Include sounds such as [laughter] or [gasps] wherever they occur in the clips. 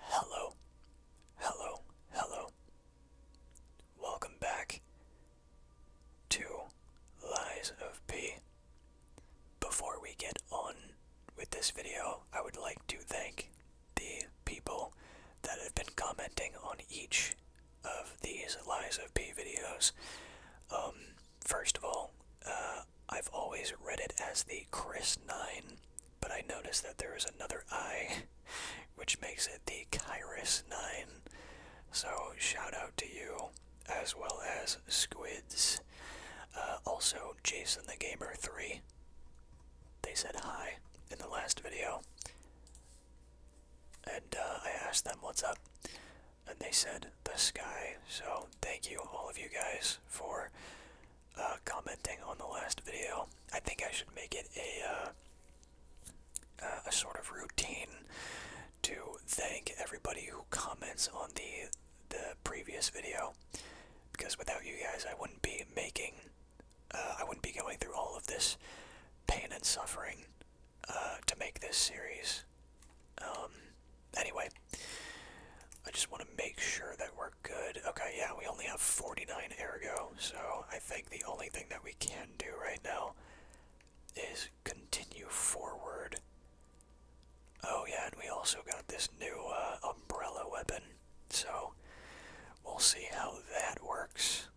Hello, hello, hello. Welcome back to Lies of P. Before we get on with this video, I would like to thank the people that have been commenting on each of these Lies of P videos. Um, first of all, uh, I've always read it as the Chris 9, but I noticed that there is another I, [laughs] which makes it the Kairos 9. So, shout out to you, as well as Squids. Uh, also, Jason the Gamer 3. They said hi in the last video. And uh, I asked them what's up, and they said, in the sky. So thank you all of you guys for uh, commenting on the last video. I think I should make it a uh, uh, a sort of routine to thank everybody who comments on the the previous video because without you guys I wouldn't be making I wouldn't be going through all of this pain and suffering to make this series um, anyway, I just want to make sure that we're good. Okay, yeah, we only have 49 ergo, so I think the only thing that we can do right now is continue forward. Oh, yeah, and we also got this new uh, umbrella weapon, so we'll see how that works.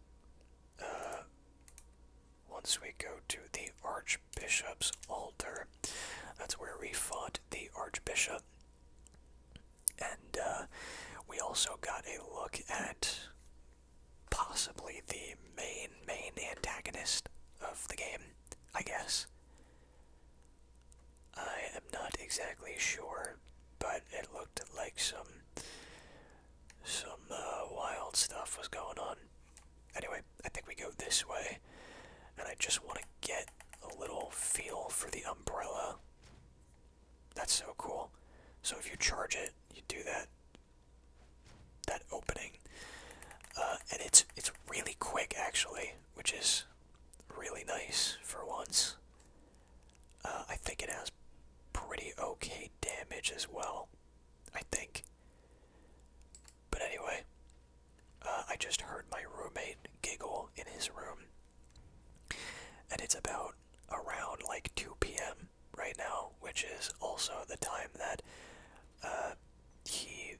Uh, once we go to the Archbishop's altar. That's where we fought the Archbishop. And uh, we also got a look at possibly the main, main antagonist of the game, I guess. I am not exactly sure, but it looked like some some uh, wild stuff was going on. Anyway, I think we go this way, and I just want to get a little feel for the umbrella. That's so cool. So if you charge it, you do that that opening, uh, and it's it's really quick actually, which is really nice for once. Uh, I think it has pretty okay damage as well. I think. But anyway, uh, I just heard my roommate giggle in his room, and it's about around like 2 p.m. right now, which is also the time that uh, he,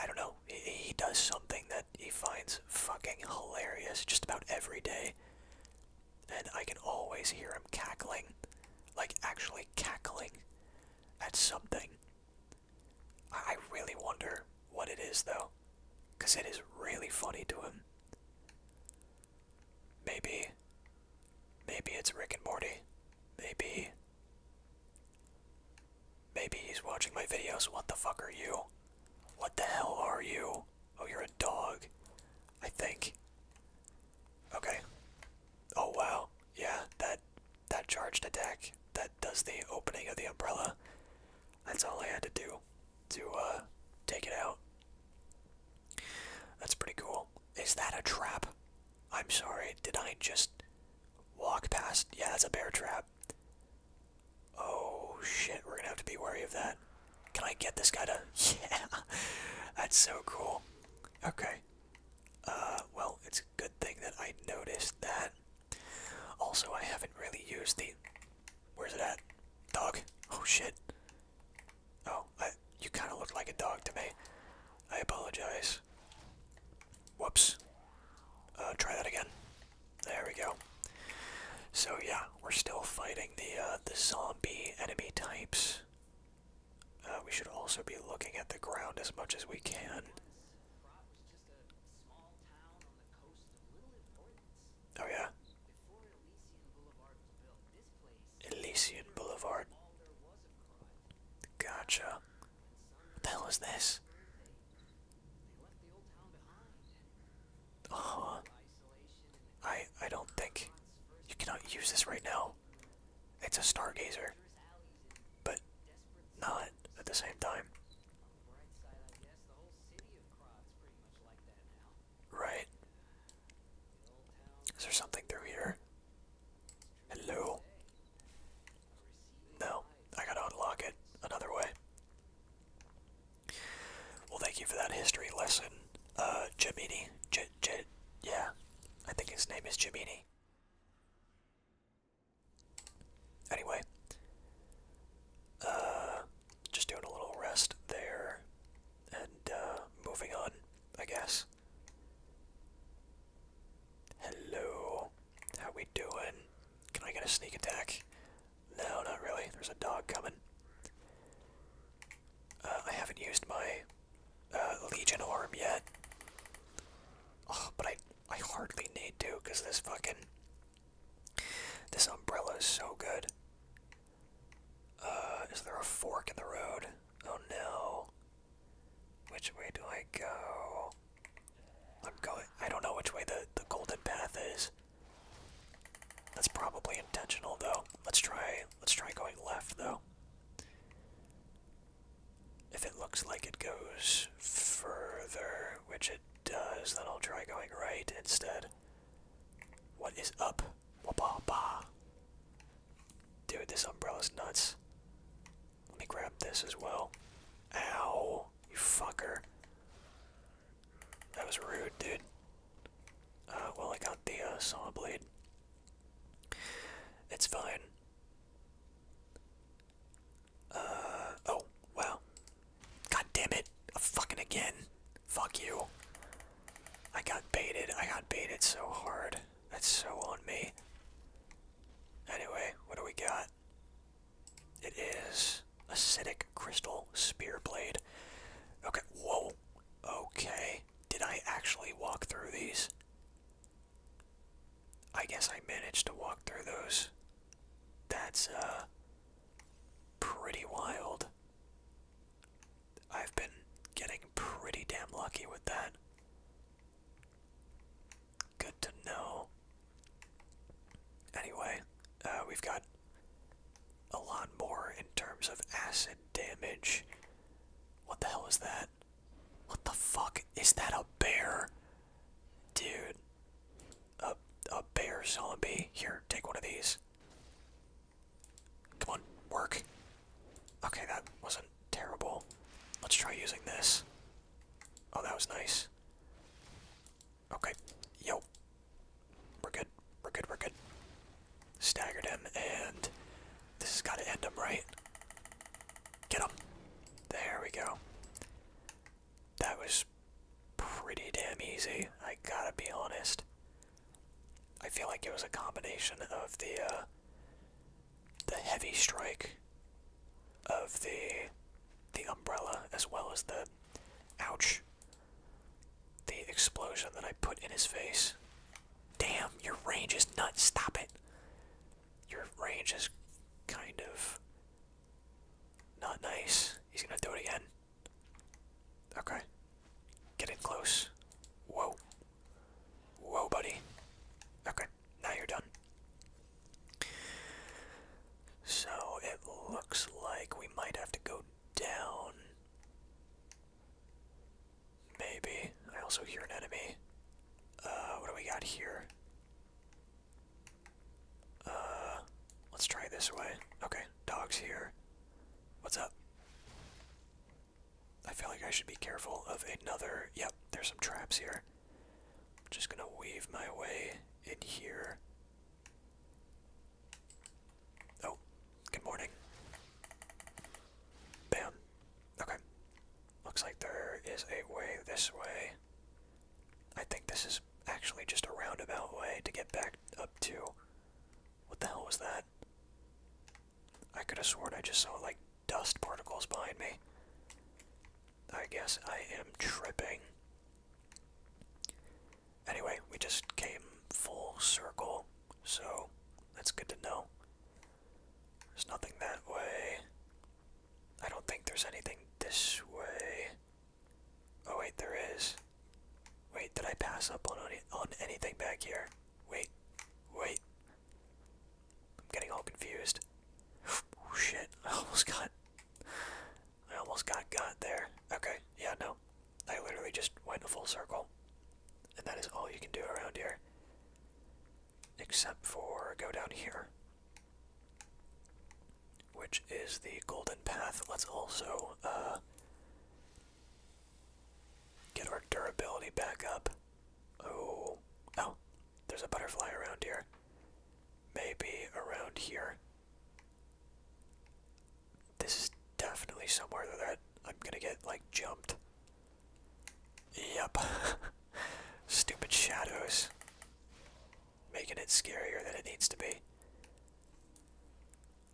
I don't know, he does something that he finds fucking hilarious just about every day. And I can always hear him cackling, like actually cackling at something. I really wonder what it is though, because it is really funny to him. Maybe, maybe it's Rick and Morty. Maybe, maybe he's watching my videos. What the fuck are you? What the hell are you? Oh, you're a dog, I think. Okay. Oh wow. Yeah, that that charged attack that does the opening of the umbrella. That's all I had to do to uh, take it out. That's pretty cool. Is that a trap? I'm sorry, did I just walk past? Yeah, that's a bear trap. Oh shit, we're gonna have to be wary of that. Can I get this guy to. [laughs] Yeah! That's so cool. Okay. Uh, well, it's a good thing that I noticed that. Also, I haven't really used the. Where's it at? Dog. Oh shit. Oh, I, you kind of look like a dog to me. I apologize. Whoops. Uh, try that again. There we go. So yeah, we're still fighting the uh, the zombie enemy types. Uh, we should also be looking at the ground as much as we can. Oh yeah. Elysian Boulevard. Gotcha. What the hell is this? Uh-huh. I I don't think you cannot use this right now. It's a stargazer but not at the same time. Right. Is there something through here? Hello? No, I gotta unlock it another way. Well, thank you for that history lesson, uh, Jimini. J, yeah, I think his name is Jimini. Anyway, uh, just doing a little rest there and uh, moving on, I guess. Hello, how we doing? Can I get a sneak attack? No, not really. There's a dog coming. Uh, I haven't used my uh, Legion arm yet. Oh, but I I hardly need to because this fucking this umbrella is so good. Uh, is there a fork in the road? Oh no. Which way do I go? I'm going. I don't know which way the the golden path is. That's probably intentional, though. Let's try. Let's try going left, though. If it looks like it goes further, which it does, then I'll try going right instead. What is up? Wapa ba. Dude, this umbrella's nuts. Let me grab this as well. Ow, you fucker. That was rude, dude. Uh, well, I got the uh, saw blade. It's fine. Uh, oh, wow. God damn it. Fucking again. Fuck you. I got baited. I got baited so hard. That's so on me. Anyway, what do we got? It is acidic crystal spear blade. Okay, whoa. Okay. Did I actually walk through these? I guess I managed to walk through those. That's, uh, pretty wild. I've been getting pretty damn lucky with that. Good to know. Anyway, uh, we've got a lot more in terms of acid damage. What the hell is that? What the fuck? Is that a bear? Dude. A, a bear zombie. Here, take one of these. Come on, work. Okay, that wasn't terrible. Let's try using this. Oh, that was nice. Okay, yo. We're good, we're good, we're good. Staggered him, and this has got to end him, right? Get him. There we go that was pretty damn easy, I gotta be honest. I feel like it was a combination of the uh, the heavy strike of the the umbrella as well as the ouch the explosion that I put in his face. Damn, your range is nuts. Stop it. Your range is kind of not nice. He's gonna do it again. Okay. Get in close. Whoa. Whoa, buddy. Okay, now you're done. So it looks like we might have to go down. Maybe. I also hear an enemy. Uh, what do we got here? Uh, let's try this way. Okay, dog's here. What's up? I feel like I should be careful of another. Yep, there's some traps here. I'm just gonna weave my way in here. Oh, good morning. Bam. Okay. Looks like there is a way this way. I think this is actually just a roundabout way to get back up to. What the hell was that? I could have sworn I just saw like dust particles behind me. I guess I am tripping. Anyway, we just came full circle, so that's good to know. There's nothing that way. I don't think there's anything this way. Oh wait, there is. Wait, did I pass up on on anything back here? Wait, wait. I'm getting all confused. [gasps] Oh shit! I almost got. I almost got got there. Okay, yeah, no. I literally just went a full circle, and that is all you can do around here. Except for go down here which is the golden path. Let's also uh, get our durability back up. Oh, oh, there's a butterfly around here. Maybe around here. This is definitely somewhere that I'm gonna get like jumped. Yep. [laughs] Stupid shadows making it scarier than it needs to be.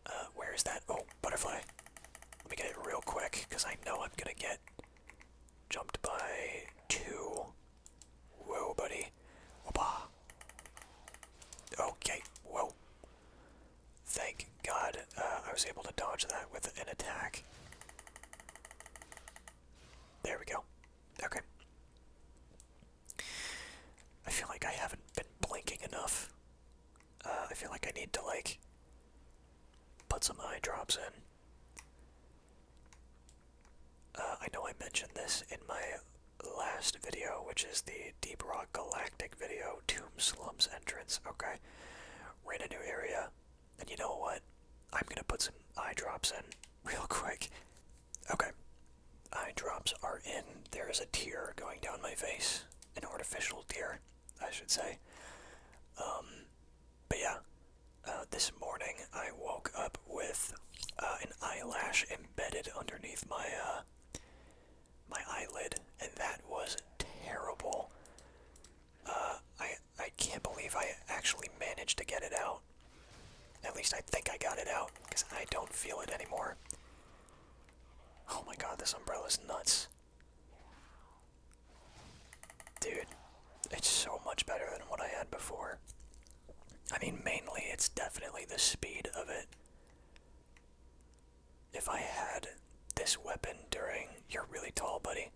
Uh, where is that? Oh, butterfly. Let me get it real quick, because I know I'm gonna get jumped by two. Whoa, buddy. Whoopah. Okay, whoa. Thank God uh, I was able to dodge that with an attack. There we go. Okay. I feel like I haven't been blinking enough. Uh, I feel like I need to, like, put some eye drops in. Uh, I know I mentioned this in my last video, which is the Deep Rock Galactic video, Tomb Slums entrance, okay? We're in a new area, and you know what? I'm gonna put some eye drops in [laughs] real quick. Okay. Eye drops are in. There is a tear going down my face. An artificial tear, I should say. Um, but yeah, uh, this morning I woke up with uh, an eyelash embedded underneath my, uh, my eyelid, and that was terrible. I, I can't believe I actually managed to get it out. At least I think I got it out, because I don't feel it anymore. Oh my god, this umbrella is nuts. Dude, it's so much better than what I had before. I mean, mainly it's definitely the speed of it. If I had this weapon during. You're really tall, buddy.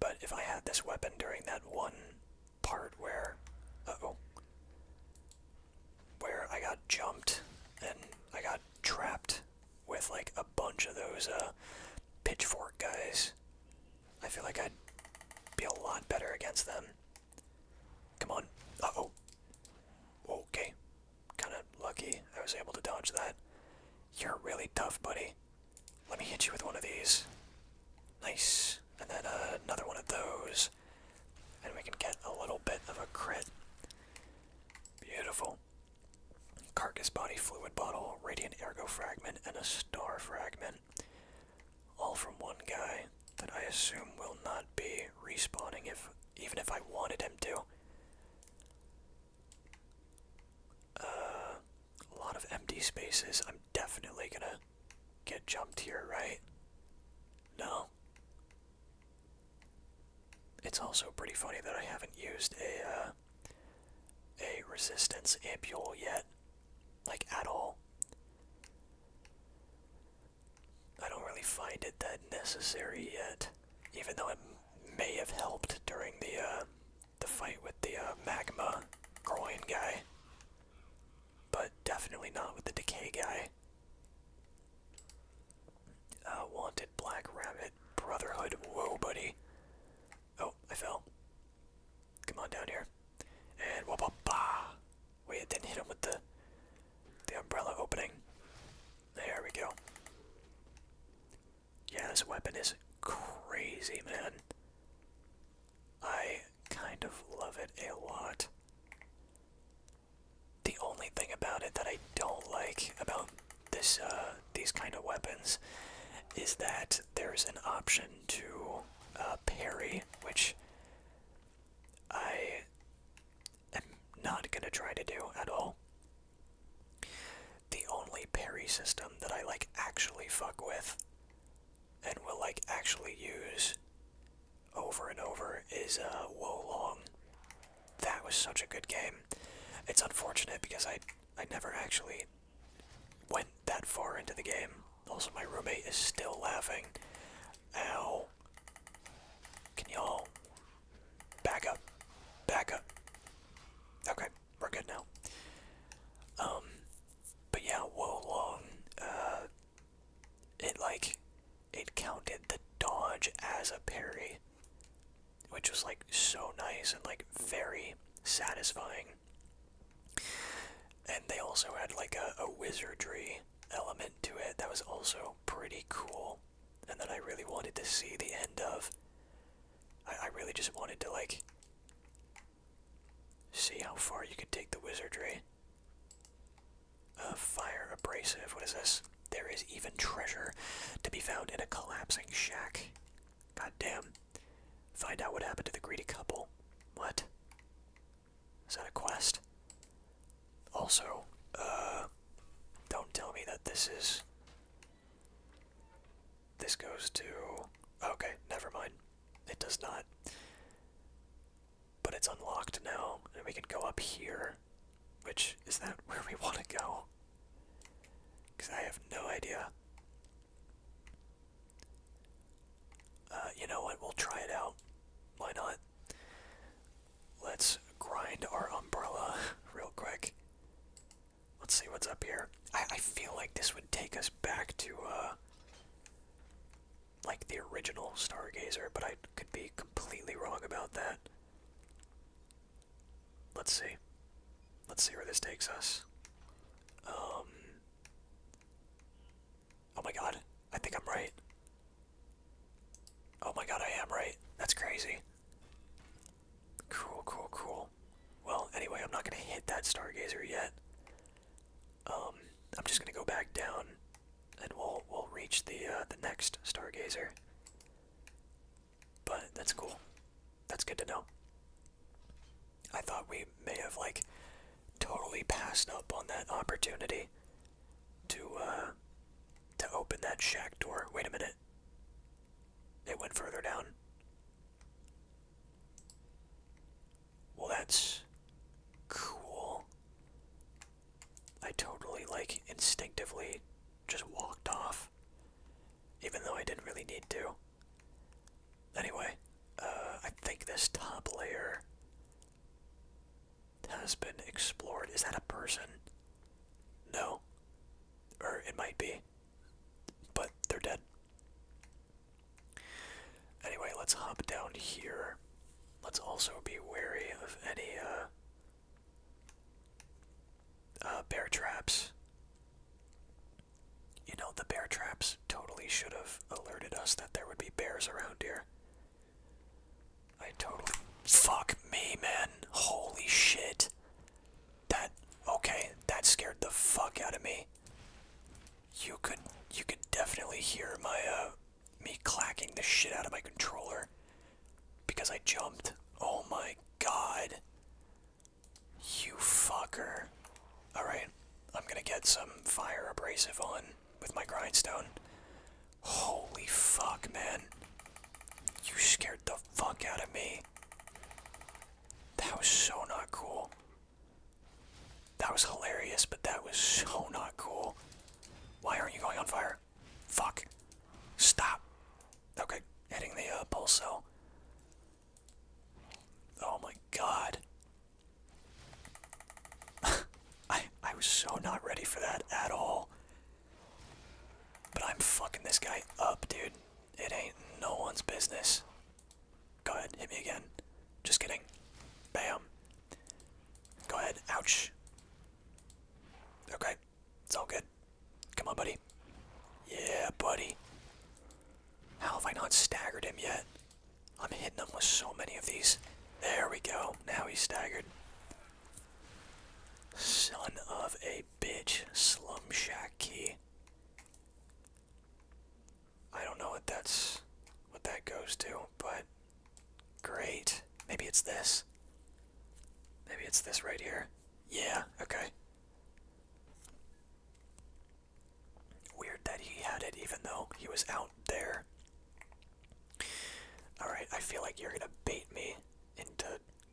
But if I had this weapon during that one part where, uh, oh, where I got jumped and I got trapped with like a bunch of those uh, pitchfork guys, I feel like I'd be a lot better against them. Come on. oh. Okay. Kind of lucky I was able to dodge that. You're really tough, buddy. Let me hit you with one of these. Nice. And then uh, another one of those. And we can get a little bit of a crit. Beautiful. Carcass body fluid bottle, radiant ergo fragment, and a star fragment. All from one guy that I assume will not be respawning if even if I wanted him to. Uh, a lot of empty spaces. I'm definitely gonna get jumped here, right? No. It's also pretty funny that I haven't used a uh, a resistance ampule yet, like at all. I don't really find it that necessary yet, even though it may have helped during the uh, the fight with the uh, magma groin guy, but definitely not with the decay guy. Uh, wanted Black Rabbit Brotherhood. Whoa, buddy. Oh, I fell. Come on down here. And whoop bah Wait, didn't hit him with the the umbrella opening. There we go. Yeah, this weapon is crazy, man. I kind of love it a lot. The only thing about it that I don't like about this uh, these kind of weapons is that there's an option to uh, parry, which I am not gonna try to do at all. The only parry system that I like actually fuck with and will like actually use over and over is a uh, Woe Long. That was such a good game. It's unfortunate because I I never actually went that far into the game. Also, my roommate is still laughing. Ow. Can y'all back up? Back up. Okay we're good now. Um, but yeah, whoa, long. Uh, it like it counted the dodge as a parry, which was like so nice and like very satisfying. And they also had like a, wizardry element to it that was also pretty cool, and that I really wanted to see the end of. I really just wanted to like See how far you can take the wizardry. Uh, fire abrasive. What is this? There is even treasure to be found in a collapsing shack. God damn! Find out what happened to the greedy couple. What? Is that a quest? Also, uh, don't tell me that this is. This goes to. Okay, never mind. It does not. But it's unlocked now, and we can go up here. Which, is that where we want to go? Because I have no idea. Uh, you know what? We'll try it out. Why not? Let's grind our umbrella [laughs] real quick. Let's see what's up here. I, I feel like this would take us back to, uh, like the original Stargazer, but I could be completely wrong about that. Let's see. Let's see where this takes us. Um. Oh my god, I think I'm right. Oh my god, I am right. That's crazy. Cool, cool, cool. Well, anyway, I'm not gonna hit that Stargazer yet. Um, I'm just gonna go back down, and we'll we'll reach the uh, the next stargazer. But that's cool. That's good to know. I thought we may have like totally passed up on that opportunity to uh, to open that shack door. Wait a minute. It went further down. Well, that's cool. I totally, like, instinctively just walked off, even though I didn't really need to. Anyway, uh, I think this top layer has been explored. Is that a person? No. Or it might be. But they're dead. Anyway, let's hop down here. Let's also be wary of any uh, uh, bear traps. You know, the bear traps totally should have alerted us that there would be bears around here. I totally. Fuck me, man. Holy shit. That. Okay, that scared the fuck out of me. You could you could definitely hear my uh, me clacking the shit out of my controller because I jumped. Oh my god. You fucker. Alright, I'm gonna get some fire abrasive on with my grindstone. Holy fuck, man. You scared the fuck out of me. That was so not cool. That was hilarious, but that was so not cool. Why aren't you going on fire? Fuck. Stop. Okay, hitting the uh, pulse cell. Oh my god. [laughs] I, I was so not ready for that at all. But I'm fucking this guy up, dude. It ain't no one's business. Go ahead, hit me again. Just kidding. Bam. Go ahead. Ouch. Okay, it's all good. Come on, buddy. Yeah, buddy. How have I not staggered him yet? I'm hitting him with so many of these. There we go. Now he's staggered. Son of a bitch. Slum Key. I don't know what that's what that goes to, but great. Maybe it's this. Maybe it's this right here. Yeah, okay. Weird that he had it even though he was out there. Alright, I feel like you're gonna bait me into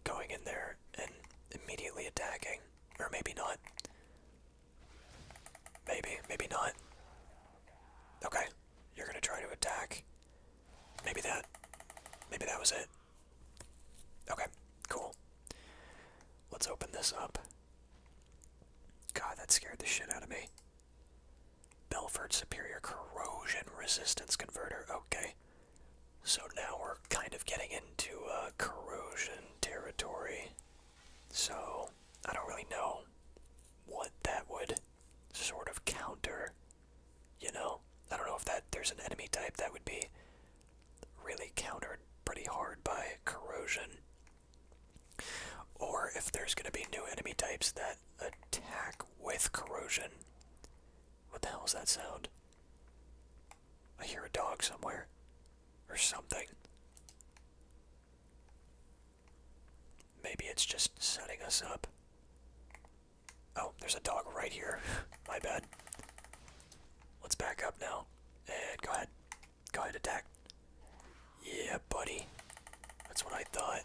going in there and immediately attacking. Or maybe not. Maybe, maybe not. Okay, you're gonna try to attack. Maybe that, maybe that was it. Okay, cool. Let's open this up. God, that scared the shit out of me. Belford Superior Corrosion Resistance Converter. Okay. So now we're kind of getting into a uh, corrosion territory. So, I don't really know what that would sort of counter, you know? I don't know if that there's an enemy type that would be really countered pretty hard by corrosion. Or if there's going to be new enemy types that attack with corrosion. What the hell is that sound? I hear a dog somewhere. Or something. Maybe it's just setting us up. Oh, there's a dog right here. [laughs] My bad. Let's back up now. And go ahead. Go ahead, attack. Yeah, buddy. That's what I thought.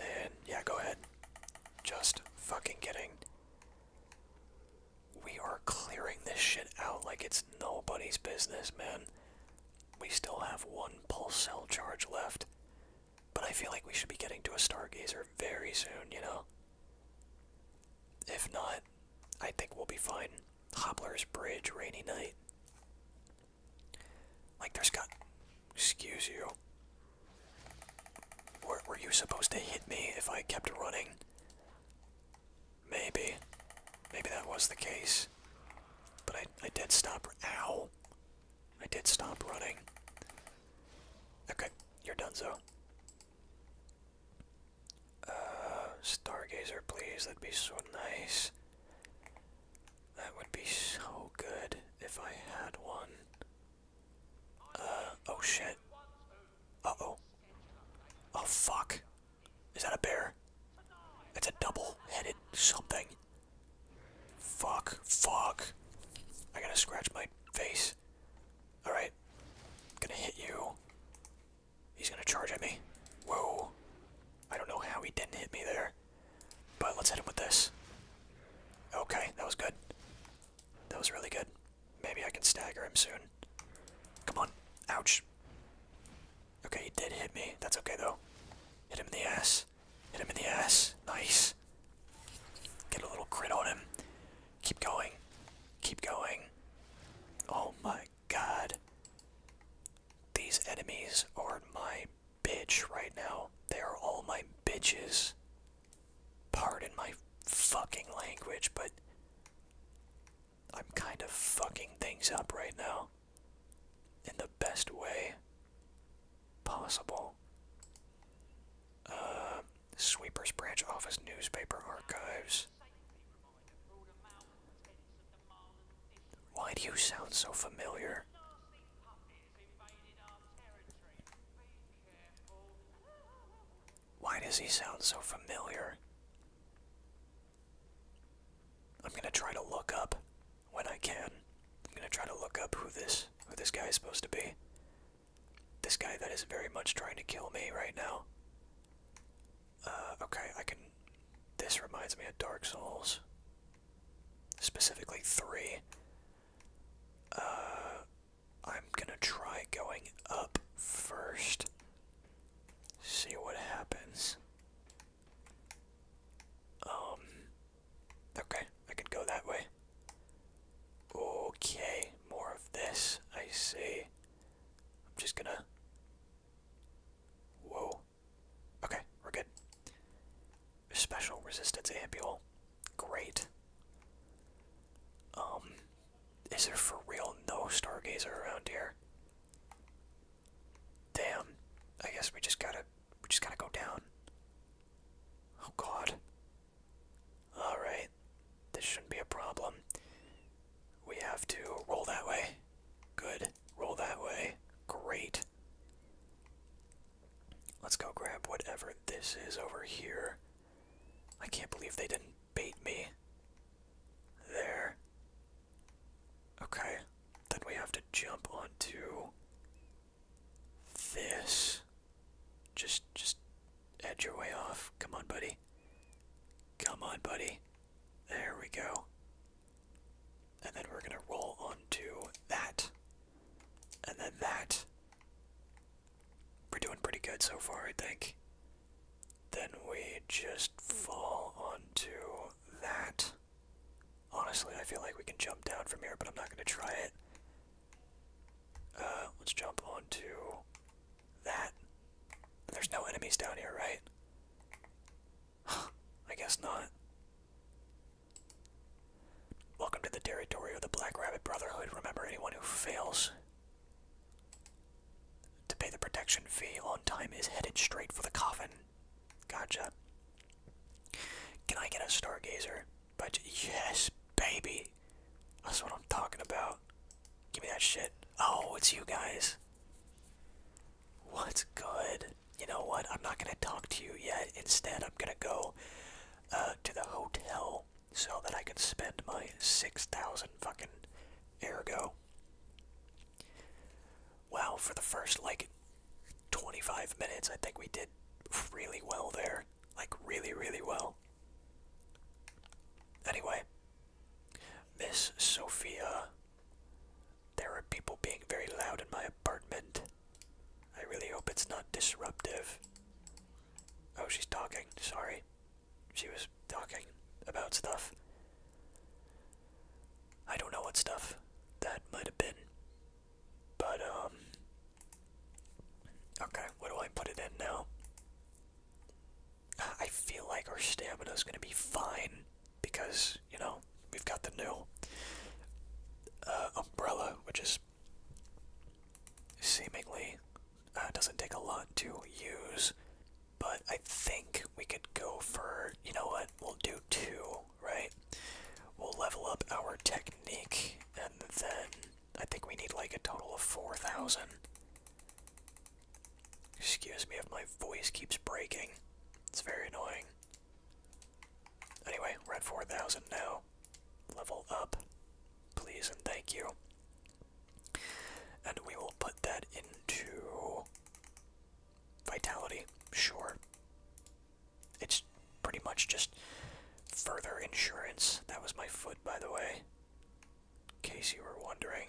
And yeah, go ahead. Just fucking kidding we are clearing this shit out like it's nobody's business, man. We still have one pulse cell charge left. But I feel like we should be getting to a stargazer very soon, you know? If not, I think we'll be fine. Hobbler's Bridge, rainy night. Like, there's got. Excuse you. Were, were you supposed to hit me if I kept running? Maybe. Maybe that was the case. But I, I did stop. Ow. I did stop running. Okay, you're done, so. Uh, Stargazer, please. That'd be so nice. That would be so good if I had one. Uh, oh shit. Uh oh. Oh fuck. Is that a bear? That's a double-headed something. Fuck. Fuck. I gotta scratch my face. Alright. Gonna hit you. He's gonna charge at me. Whoa. I don't know how he didn't hit me there. But let's hit him with this. Okay, that was good. That was really good. Maybe I can stagger him soon. Come on. Ouch. Okay, he did hit me. That's okay though. Hit him in the ass. Hit him in the ass. Nice. Get a little crit on him. Keep going. Keep going. Oh my god. These enemies are my bitch right now. They are all my bitches. Pardon my fucking language, but I'm kind of fucking things up right now. In the best way possible. Uh, Sweepers Branch Office Newspaper Archives. Why do you sound so familiar? Why does he sound so familiar? I'm gonna try to look up when I can. I'm gonna try to look up who this who this guy is supposed to be. This guy that is very much trying to kill me right now. Uh, okay, I can. This reminds me of Dark Souls. Specifically three. Uh, I'm gonna try going up first. See what happens. Um. Okay, I could go that way. Okay, more of this. I see. I'm just gonna. Whoa. Okay, we're good. Special resistance ambule. Great. Um. Is there for real no stargazer around here? Damn. I guess we just gotta we just gotta go down. Oh god. Alright. This shouldn't be a problem. We have to roll that way. Good. Roll that way. Great. Let's go grab whatever this is over here. I can't believe they didn't bait me. There. Okay. Then we have to jump onto this. Just just edge your way off. Come on, buddy. Come on, buddy. There we go. And then we're gonna roll onto that. And then that. We're doing pretty good so far, I think then we just fall onto that. Honestly, I feel like we can jump down from here, but I'm not going to try it. Uh, let's jump onto that. There's no enemies down here, right? [sighs] I guess not. Welcome to the territory of the Black Rabbit Brotherhood. Remember, anyone who fails to pay the protection fee on time is headed straight for the coffin. Gotcha. Can I get a stargazer? But yes, baby. That's what I'm talking about. Give me that shit. Oh, it's you guys. What's good? You know what? I'm not gonna talk to you yet. Instead, I'm gonna go uh, to the hotel so that I can spend my six thousand fucking ergo Wow, for the first like 25 minutes, I think we did really well there. Like, really, really well. Anyway, Miss Sophia, there are people being very loud in my apartment. I really hope it's not disruptive. Oh, she's talking. Sorry she was talking about stuff. I don't know what stuff that might have been. But, um. Okay, what do I put it in now? I feel like our stamina is going to be fine because, you know, we've got the new uh, umbrella, which is seemingly uh, doesn't take a lot to use. But I think we could go for, you know what, we'll do two, right? We'll level up our technique, and then I think we need like a total of 4,000. Excuse me if my voice keeps breaking. It's very annoying. Anyway, red 4,000 now. Level up. Please and thank you. And we will put that into Vitality, sure. It's pretty much just further insurance. That was my foot, by the way. In case you were wondering.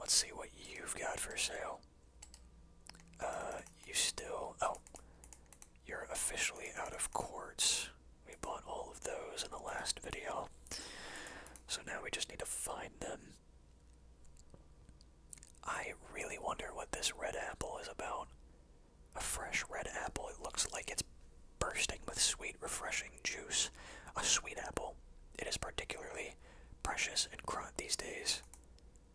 Let's see what you've got for sale. Uh, you still. Oh. You're officially out of quartz. We bought all of those in the last video. So now we just need to find them. I really wonder what this red apple is about. A fresh red apple. It looks like it's bursting with sweet, refreshing juice. A sweet apple. It is particularly precious and crunt these days.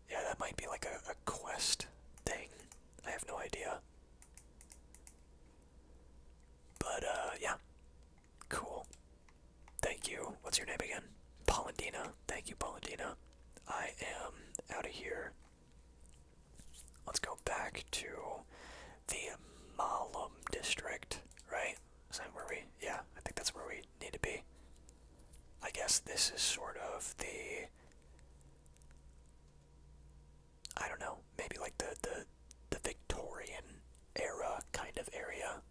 Yeah, that might be like a, a quest thing. I have no idea. But, uh, yeah. Cool. Thank you. What's your name again? Paladina. Thank you, Paladina. I am out of here. Let's go back to the Malum district, right? Is that where we? Yeah, I think that's where we need to be. I guess this is sort of the. I don't know, maybe like the the the Victorian era kind of area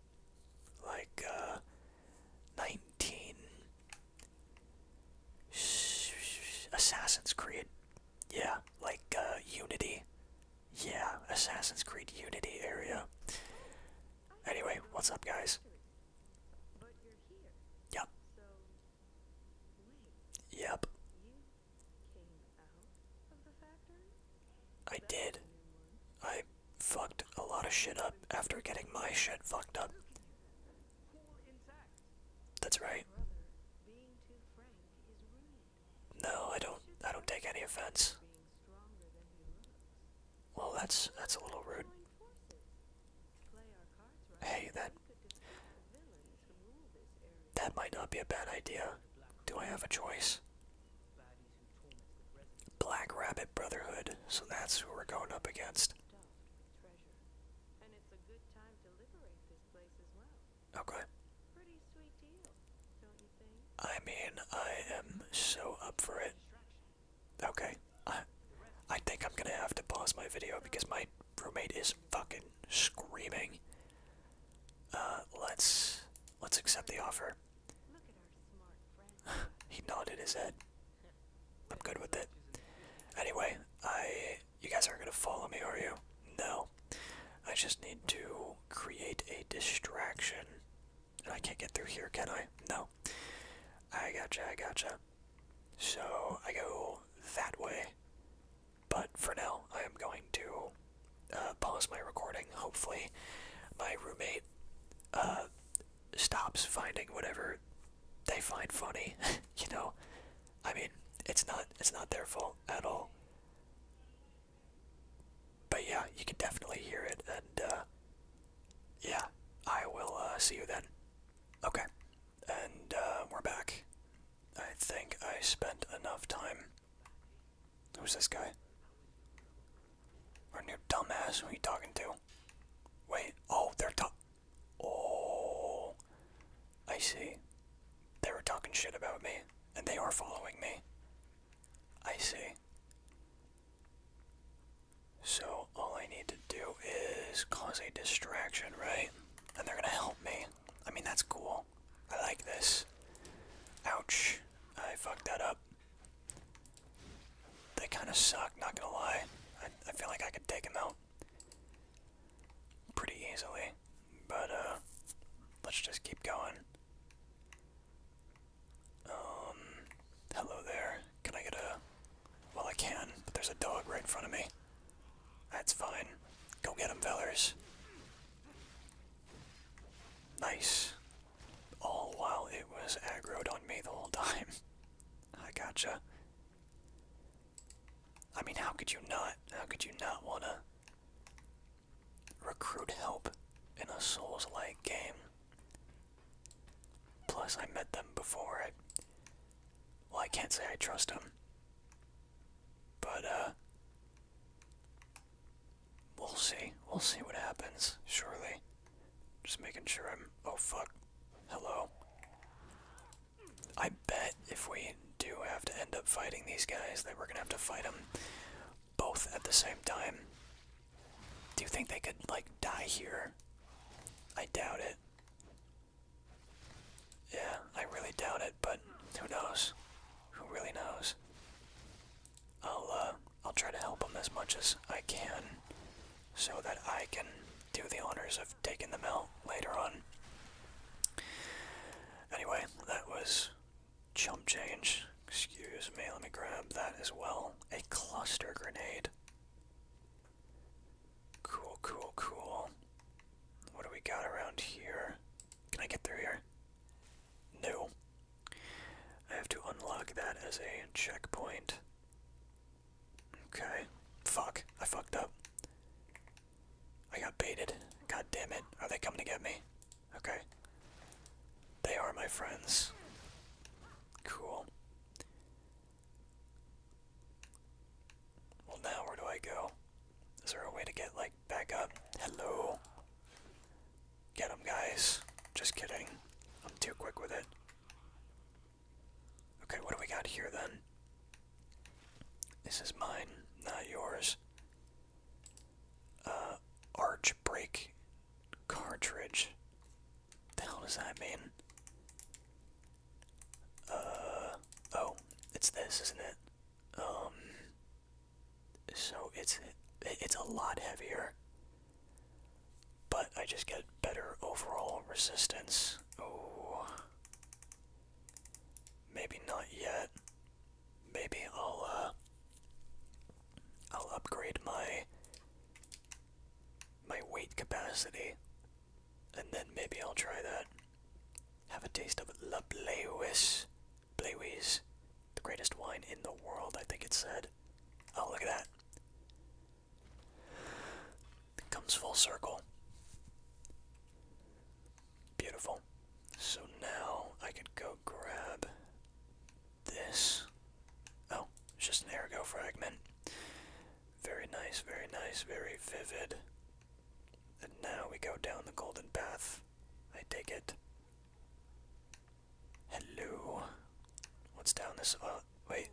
like uh, 19 Assassin's Creed. Yeah, like uh, Unity. Yeah, Assassin's Creed Unity area. Anyway, what's up, guys? Yep. Yep. I did. I fucked a lot of shit up after getting my shit fucked up. That's right. No, I don't I don't take any offense. Well, that's that's a little rude. Hey, that that might not be a bad idea. Do I have a choice? Black Rabbit Brotherhood, so that's who we're going up against. Okay. I mean, I am so up for it. Okay. I I think I'm gonna have to pause my video because my roommate is fucking screaming. Uh let's let's accept the offer. [sighs] he nodded his head. I'm good with it. Anyway, I you guys aren't gonna follow me, are you? No. I just need to create a distraction. and I can't get through here, can I? No. I gotcha, I gotcha. So I go that way. But for now, I am going to uh, pause my recording. Hopefully, my roommate uh, stops finding whatever they find funny. [laughs] you know, I mean, it's not it's not their fault at all. But yeah, you can definitely hear it, and uh, yeah, I will uh, see you then. Okay, and uh, we're back. I think I spent enough time. Who's this guy? Are new dumbass, who are you talking to? Wait, oh, they're talking. Oh, I see. They were talking shit about me, and they are following me. I see. So, all I need to do is cause a distraction, right? And they're gonna help me. I mean, that's cool. I like this. Ouch. I fucked that up. They kind of suck, not gonna lie. I, feel like I could take them out pretty easily, but uh, let's just keep going. Um, hello there. Can I get a. Well, I can, but there's a dog right in front of me. That's fine. Go get him, fellers. Nice all while it was aggroed on me the whole time. [laughs] I gotcha. I mean, how could you not? How could you not wanna recruit help in a Souls-like game? Plus, I met them before. I, well, I can't say I trust them, but uh, We'll see. We'll see what happens, surely. Just making sure I'm. Oh, fuck. Hello. I bet if we do have to end up fighting these guys, that we're gonna have to fight them both at the same time. Do you think they could, like, die here? I doubt it. Yeah, I really doubt it, but who knows? Who really knows? I'll uh, I'll try to help them as much as I can, so that I can do the honors of taking them out later on. Anyway, that was chump change. Excuse me. Let me grab that as well. A cluster grenade. Cool, cool, cool. What do we got around here? Can I get through here? No. I have to unlock that as a checkpoint. Okay. Fuck. I fucked up. I got baited. God damn it. Are they coming to get me? Okay. They are my friends. Cool. Well, now where do I go? Is there a way to get, like, back up? Hello? Get him, guys. Just kidding. I'm too quick with it. Okay, what do we got here then? This is mine, not yours. Uh, arch brake cartridge. What the hell does that mean? Uh, oh, it's this, isn't it? Um, so it's it's a lot heavier but I just get better overall resistance oh maybe not yet maybe I'll uh, I'll upgrade my my weight capacity and then maybe I'll try that have a taste of Laplace Blue the greatest wine in the world, I think it said. Oh, look at that. comes full circle. Beautiful. So now I could go grab this. Oh, it's just an ergo fragment. Very nice, very nice, very vivid. And now we go down the golden path. I take it. Hello. What's down this? Oh, wait.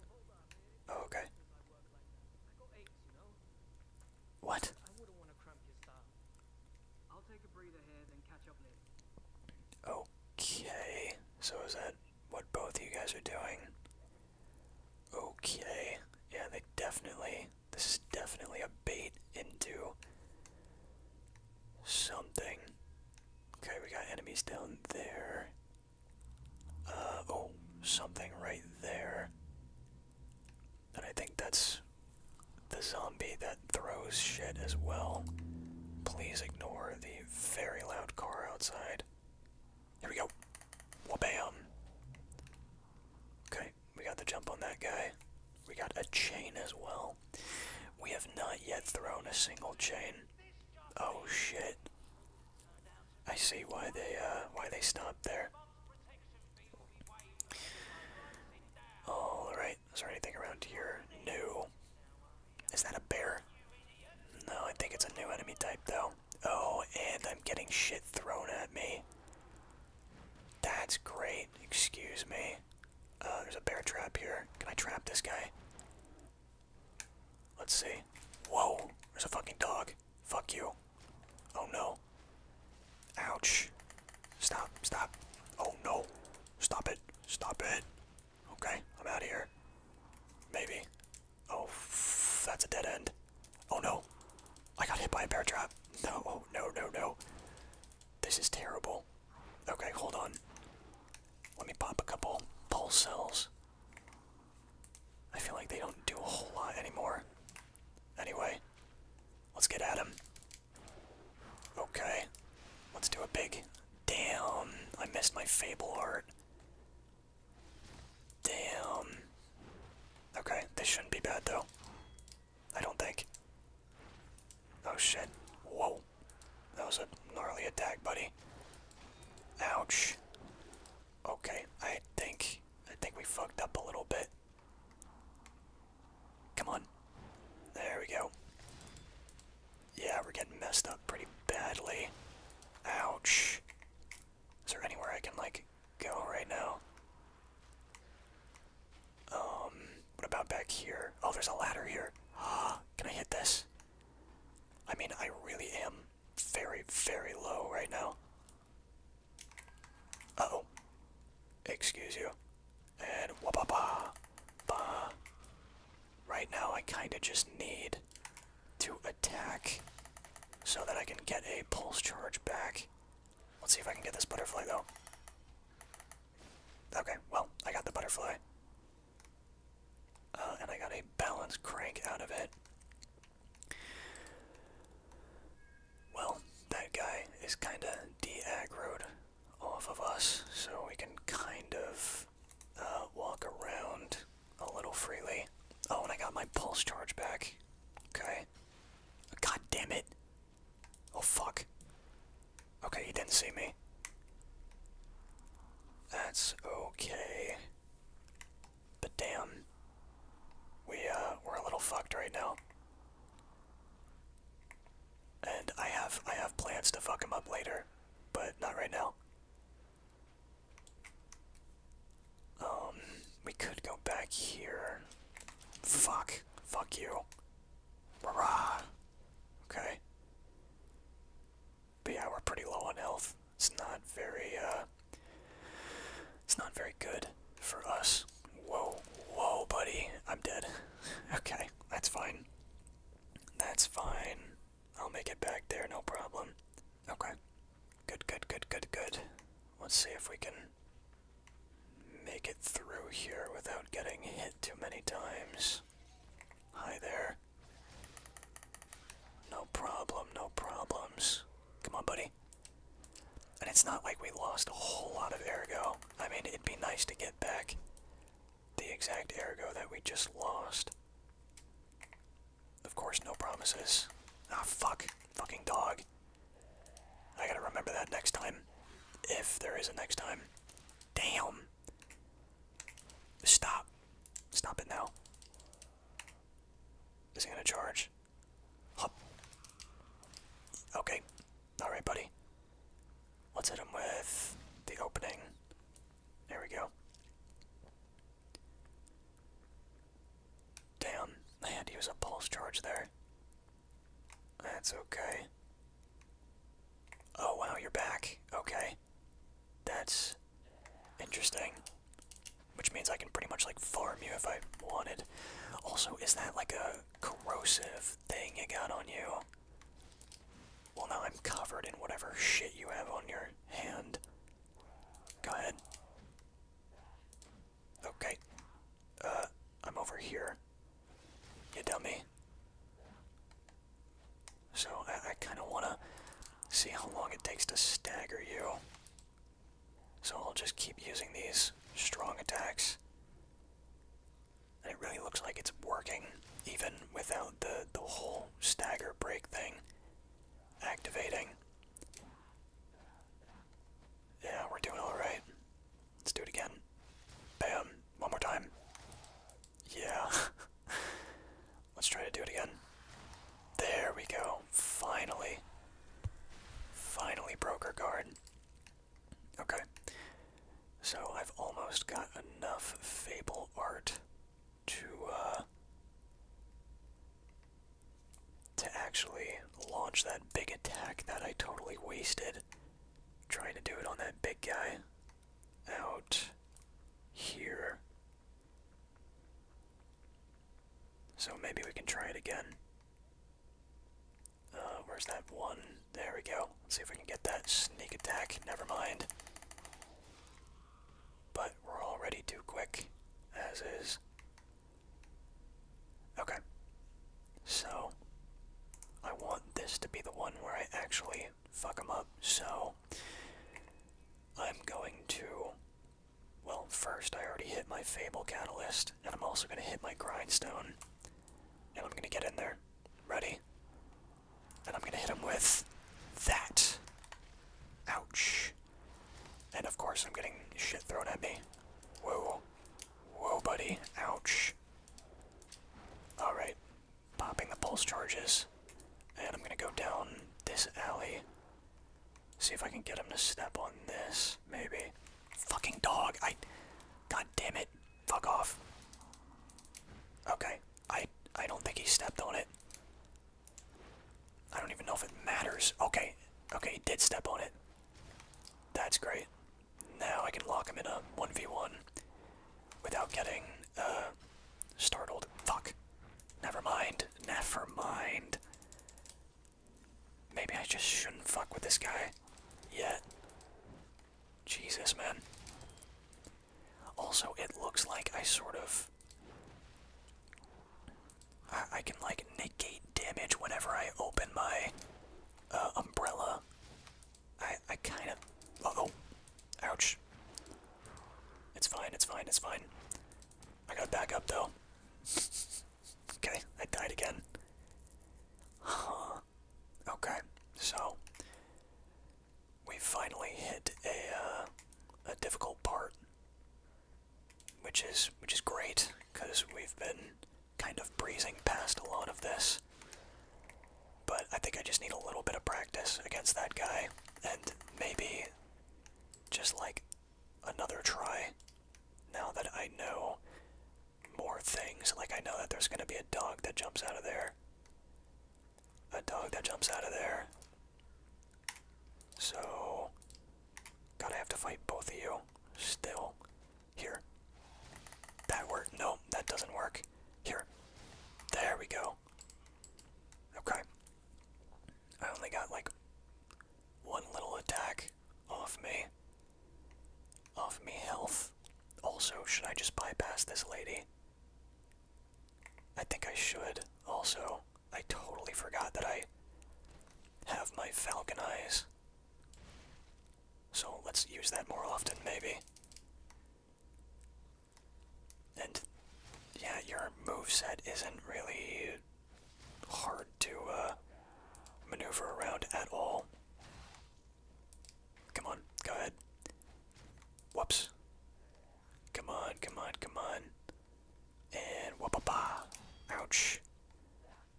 Oh, okay. What? Okay. So is that what both of you guys are doing? Okay. Yeah, they definitely. This is definitely a bait into something. Okay, we got enemies down there. Uh, oh, something right there. And I think that's the zombie that throws shit as well. Please ignore the very loud car outside. Here we go. Wabam! Okay, we got the jump on that guy. We got a chain as well. We have not yet thrown a single chain. Oh shit. I see why they uh why they stopped there. Alright, is there anything around here? New. Is that a bear? No, I think it's a new enemy type though. Oh, and I'm getting shit thrown at me. That's great, excuse me. Uh, there's a bear trap here. Can I trap this guy? Let's see. Whoa, there's a fucking dog. Fuck you. Oh no. Ouch. Stop, stop. Oh no. Stop it. Stop it. Okay, I'm out of here. Maybe. Oh, that's a dead end. Oh no. I got hit by a bear trap. [laughs] No, no, no, no. This is terrible. Okay, hold on. Let me pop a couple pulse cells. I feel like they don't do a whole lot anymore. Anyway, let's get at him. Okay, let's do a big. Damn, I missed my fable art. Damn. Okay, this shouldn't be bad though. I don't think. Oh shit. Whoa. That was a gnarly attack, buddy. Ouch. Okay, I think I think we fucked up a little bit. Come on. There we go. Yeah, we're getting messed up pretty badly. Ouch. Is there anywhere I can like go right now? Um, what about back here? Oh, there's a ladder here. Ah, [gasps] Can I hit this? I mean, I really am very, very low right now. oh. Excuse you. And wha ba ba ba. Right now, I kind of just need to attack so that I can get a pulse charge back. Let's see if I can get this butterfly though. Okay, well, I got the butterfly. Uh, and I got a balance crank out of it. Well, that guy is kind of de-aggroed off of us, so we can kind of uh, walk around a little freely. Oh, and I got my pulse charge back. Okay. God damn it. Oh, fuck. Okay, he didn't see me. That's okay. But damn. We, uh, we're a little fucked right now. And I have, I have plans to fuck him up later, but not right now. Um, we could go back here. Fuck. Fuck you. Rah! Okay. But yeah, we're pretty low on health. It's not very, uh, it's not very good for us. Whoa, whoa, buddy. I'm dead. [laughs] Okay, that's fine. That's fine. I'll make it back there, no problem. Okay. Good, good, good, good, good. Let's see if we can make it through here without getting hit too many times. Hi there. No problem, no problems. Come on, buddy. And it's not like we lost a whole lot of ergo. I mean, it'd be nice to get back the exact ergo that we just lost. Of course, no promises. Ah, fuck. Fucking dog. I gotta remember that next time. If there is a next time. Damn. Stop. Stop it now. Is he gonna charge? Hup. Okay. Alright, buddy. Let's hit him with the opening. There we go. Damn, I had to use a pulse charge there. That's okay. Oh wow, you're back. Okay. That's interesting. Which means I can pretty much like farm you if I wanted. Also, is that like a corrosive thing you got on you? Well, now I'm covered in whatever shit you have on your hand. Go ahead. Okay. Uh, I'm over here. You dummy. So I, kind of want to see how long it takes to stagger you. So I'll just keep using these strong attacks. And it really looks like it's working, even without the, the whole stagger break thing activating. Yeah, we're doing alright. Let's do it again. Bam. One more time. Yeah. [laughs] Let's try to do it again. There we go. Finally. Finally broke her guard. Okay. So I've almost got enough Fable art to, uh, to actually launch that big attack that I totally wasted trying to do it on that big guy out here. So maybe we can try it again. Uh, where's that one? There we go. see if we can get that sneak attack. Never mind. But we're already too quick, as is. Okay. So, I want this to be the one where I actually fuck them up. So I'm going to. Well, first I already hit my Fable Catalyst, and I'm also going to hit my Grindstone. And I'm going to get in there. Ready? And I'm going to hit him with that. Ouch. And of course I'm getting shit thrown at me. Whoa. Whoa, buddy. Ouch. Alright popping the pulse charges. And I'm gonna go down this alley. See if I can get him to step on this, maybe. Fucking dog, I... God damn it, fuck off. Okay, I, I don't think he stepped on it. I don't even know if it matters. Okay, okay, he did step on it. That's great. Now I can lock him in a 1v1 without getting uh, startled. Fuck. Never mind. Never mind. Maybe I just shouldn't fuck with this guy yet. Jesus, man. Also, it looks like I sort of. I, I can, like, negate damage whenever I open my uh, umbrella I I kind of. oh, ouch. It's fine. It's fine. It's fine. I got back up though. [laughs] okay, I died again. Okay, so we finally hit a uh, a difficult part, which is which is great because we've been kind of breezing past a lot of this. But I think I just need a little bit of practice against that guy, and maybe just like another try now that I know more things. Like, I know that there's gonna be a dog that jumps out of there, a dog that jumps out of there. So, gotta have to fight both of you still. Here. That worked. No, that doesn't work. Here. There we go. Okay. I only got like one little attack off me. Off me health. Also, should I just bypass this lady? I think I should. Also, I totally forgot that I have my falcon eyes. So let's use that more often, maybe. And yeah, your move set isn't really hard to uh, maneuver around at all. Come on, go ahead. Whoops. Come on, come on, come on. And whoop-a-ba. Ouch.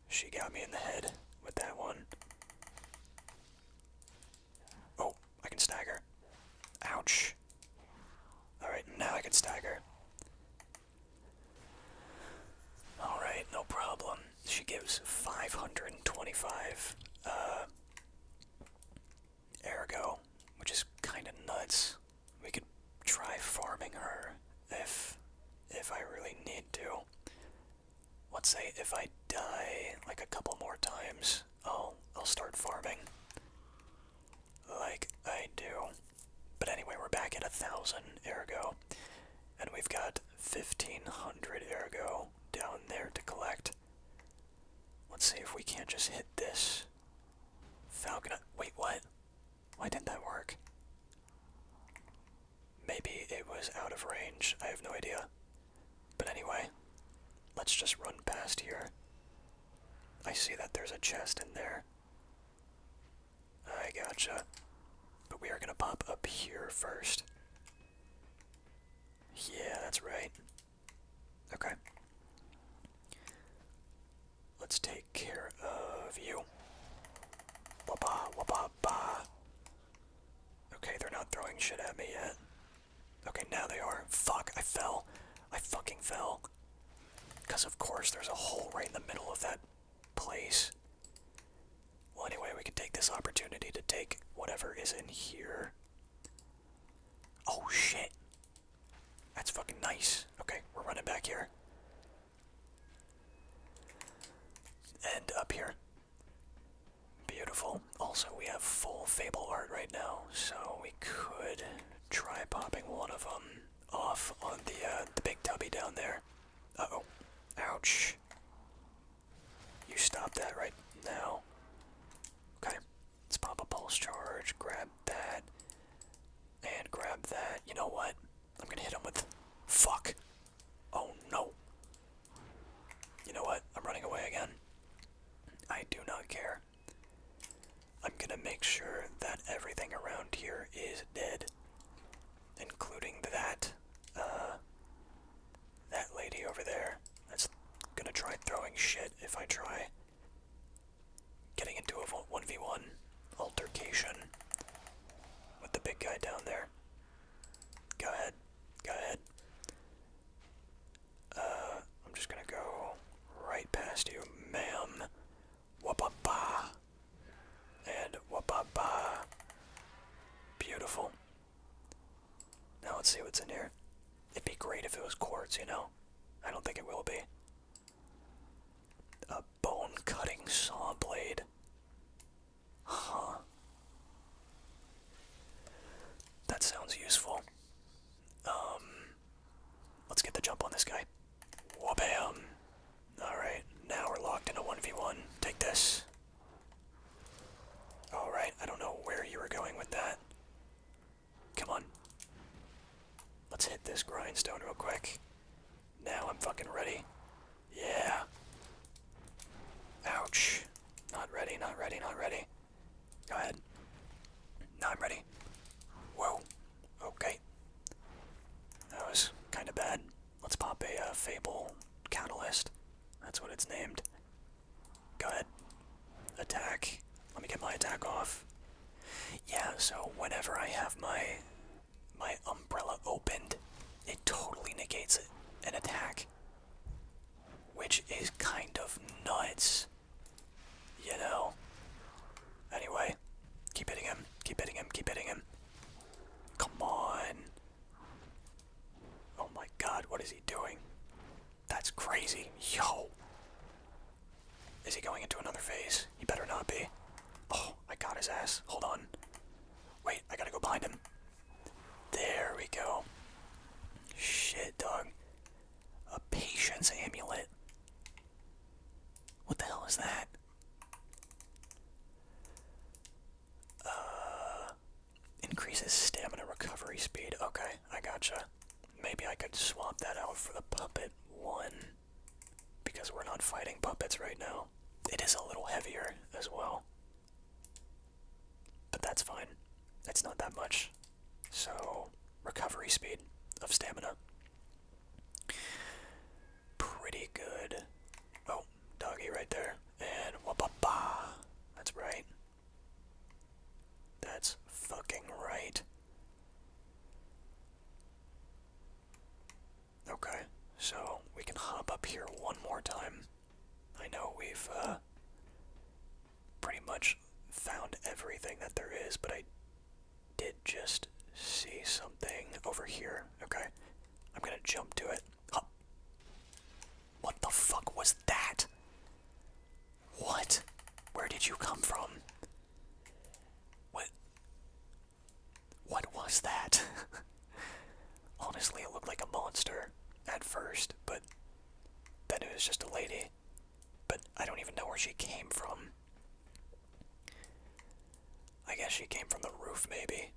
She got me in the head with that one. Oh, I can stagger. Ouch. Alright, now I can stagger. Alright, no problem. She gives 525 uh, ergo, which is kind of nuts. We could try farming her if if I really need to let's say if I die like a couple more times, I'll I'll start farming. Like I do. But anyway, we're back at a thousand ergo. And we've got fifteen hundred ergo down there to collect. Let's see if we can't just hit this. Falcon wait what? Why didn't that work? Maybe it was out of range. I have no idea. But anyway, let's just run past here. I see that there's a chest in there. I gotcha. But we are gonna pop up here first. Yeah, that's right. Okay. Let's take care of you. Wabba, wabba, ba. Okay, they're not throwing shit at me yet. Okay, now they are. Fuck, I fell. I fucking fell. Because, of course, there's a hole right in the middle of that place. Well, anyway, we can take this opportunity to take whatever is in here. Oh, shit. That's fucking nice. Okay, we're running back here. And up here. Beautiful. Also, we have full Fable art right now, so we could try popping one of them off on the, uh, the big tubby down there. Uh-oh. Ouch. You stop that right now. Okay. Let's pop a pulse charge, grab that, and grab that. You know what? I'm gonna hit him with... Fuck. Oh, no. You know what? I'm running away again. I do not care. I'm gonna make sure that everything around here is dead, including that, uh, that lady over there. That's gonna try throwing shit if I try getting into a 1v1 altercation with the big guy down there. Go ahead. Go ahead. Uh, I'm just gonna go right past you, ma'am. Wapapa. And wapapa. Beautiful. Now let's see what's in here. It'd be great if it was quartz, you know? I don't think it will be. A bone cutting saw blade. Huh. That sounds useful. Um, let's get the jump on this guy. Wabam! Alright, now we're locked into a 1v1. Take this. Alright, I don't know where you were going with that. Come on. Let's hit this grindstone real quick. Now I'm fucking ready. Yeah. Ouch. Not ready, not ready, not ready. Go ahead. Now I'm ready. Whoa. Okay. That was kind of bad. Let's pop a uh, Fable Catalyst. That's what it's named. Go ahead. Attack. Let me get my attack off. Yeah, so whenever I have my my umbrella opened, it totally negates an attack which is kind of nuts. You know? Anyway, keep hitting him, keep hitting him, keep hitting him. Come on. Oh my god, what is he doing? That's crazy. Yo. Is he going into another phase? He better not be. Oh, I got his ass. Hold on. Wait, I gotta go behind him. There we go. Shit, dog. A patience amulet. What the hell is that? Uh, increases stamina recovery speed. Okay, I gotcha. Maybe I could swap that out for the puppet one. Because we're not fighting puppets right now. It is a little heavier as well. But that's fine. It's not that much. So, recovery speed of stamina. Pretty good. Oh, doggy right there. And wapapa. That's right. That's fucking right. Okay, so we can hop up here one more time. I know we've uh, pretty much found everything that there is, but I did just see something over here. Okay, I'm gonna jump to it. What the fuck was that? What? Where did you come from? What? What was that? [laughs] Honestly, it looked like a monster at first, but then it was just a lady, but I don't even know where she came from. I guess she came from the roof, maybe.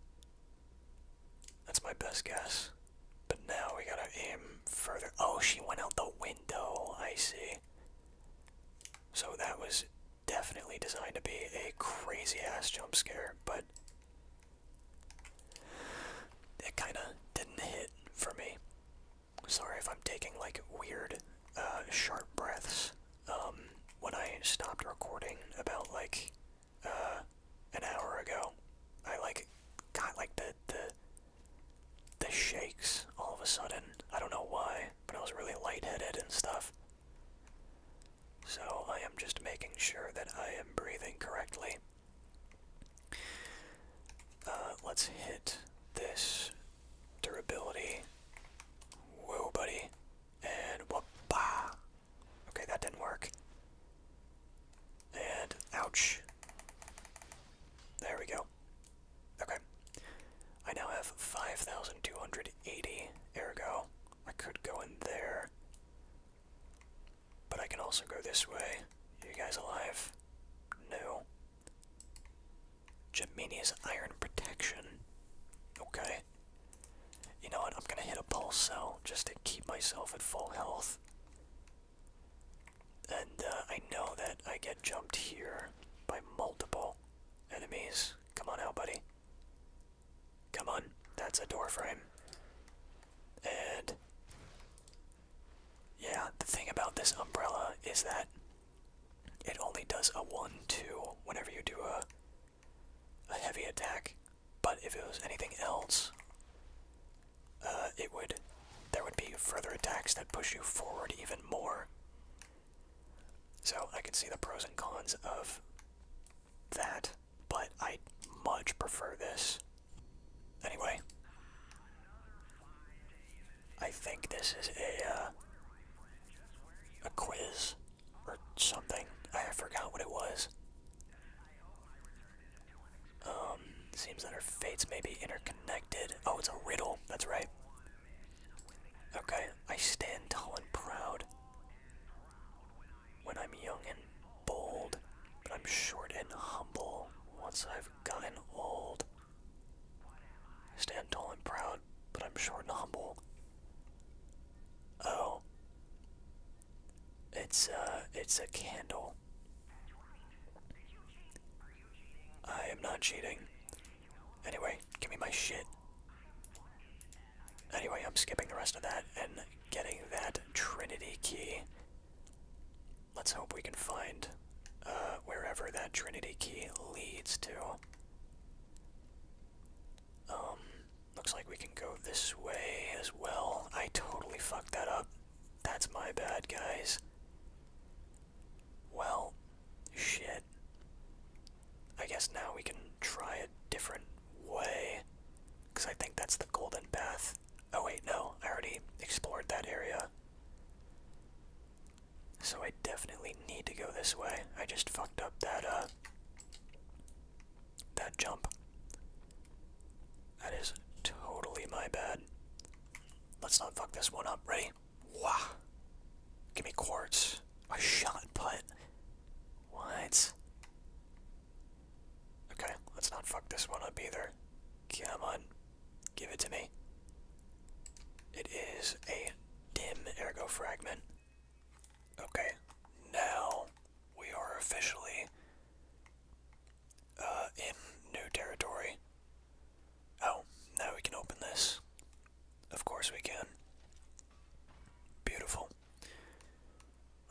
That's my best guess. But now we gotta aim further. Oh, she went out the window. I see. So that was definitely designed to be a crazy ass jump scare, but it kinda didn't hit for me. Sorry if I'm taking like weird, uh, sharp breaths. Um, when I stopped recording about like, uh, an hour ago, I like got like the the the shakes all of a sudden. I don't know why, but I was really lightheaded and stuff. So I am just making sure that I am breathing correctly. Uh, let's hit this durability. Whoa, buddy. And whoop Okay, that didn't work. And ouch. There we go. Okay. I now have 5,280, ergo. I could go in there. But I can also go this way. You guys alive? No. Gemini's Iron Protection. Okay. You know what? I'm gonna hit a pulse cell just to keep myself at full health. And uh, I know that I get jumped here by multiple enemies. Come on out, buddy. Come on. That's a door frame. And yeah, the thing about this umbrella is that it only does a 1 2 whenever you do a, a heavy attack, but if it was anything else, uh, it would. There would be further attacks that push you forward even more. So I can see the pros and cons of that, but I much prefer this Anyway, I think this is a uh, a quiz or something. I forgot what it was. Um, seems that our fates may be interconnected. Oh, it's a riddle. That's right. Okay, I stand tall and proud when I'm young and bold, but I'm short and humble once I've gotten old. I stand tall and proud, but I'm short and humble. Oh. It's uh it's a candle. I am not cheating. Anyway, give me my shit. Anyway, I'm skipping the rest of that and getting that Trinity key. Let's hope we can find uh, wherever that Trinity key leads to. Um, looks like we can go this way as well. I totally fucked that up. That's my bad, guys. Well, shit. I guess now we can try a different way. Because I think that's the Golden Path. Oh, wait, no. I already explored that area. So I definitely need to go this way. I just fucked up that, uh. that jump. That is totally my bad. Let's not fuck this one up. Ready? Wah! Give me quartz. A shot put. What? Okay, let's not fuck this one up either. Come on. Give it to me. It is a dim ergo fragment. Okay, now we are officially uh, in new territory. Oh, now we can open this. Of course we can. Beautiful.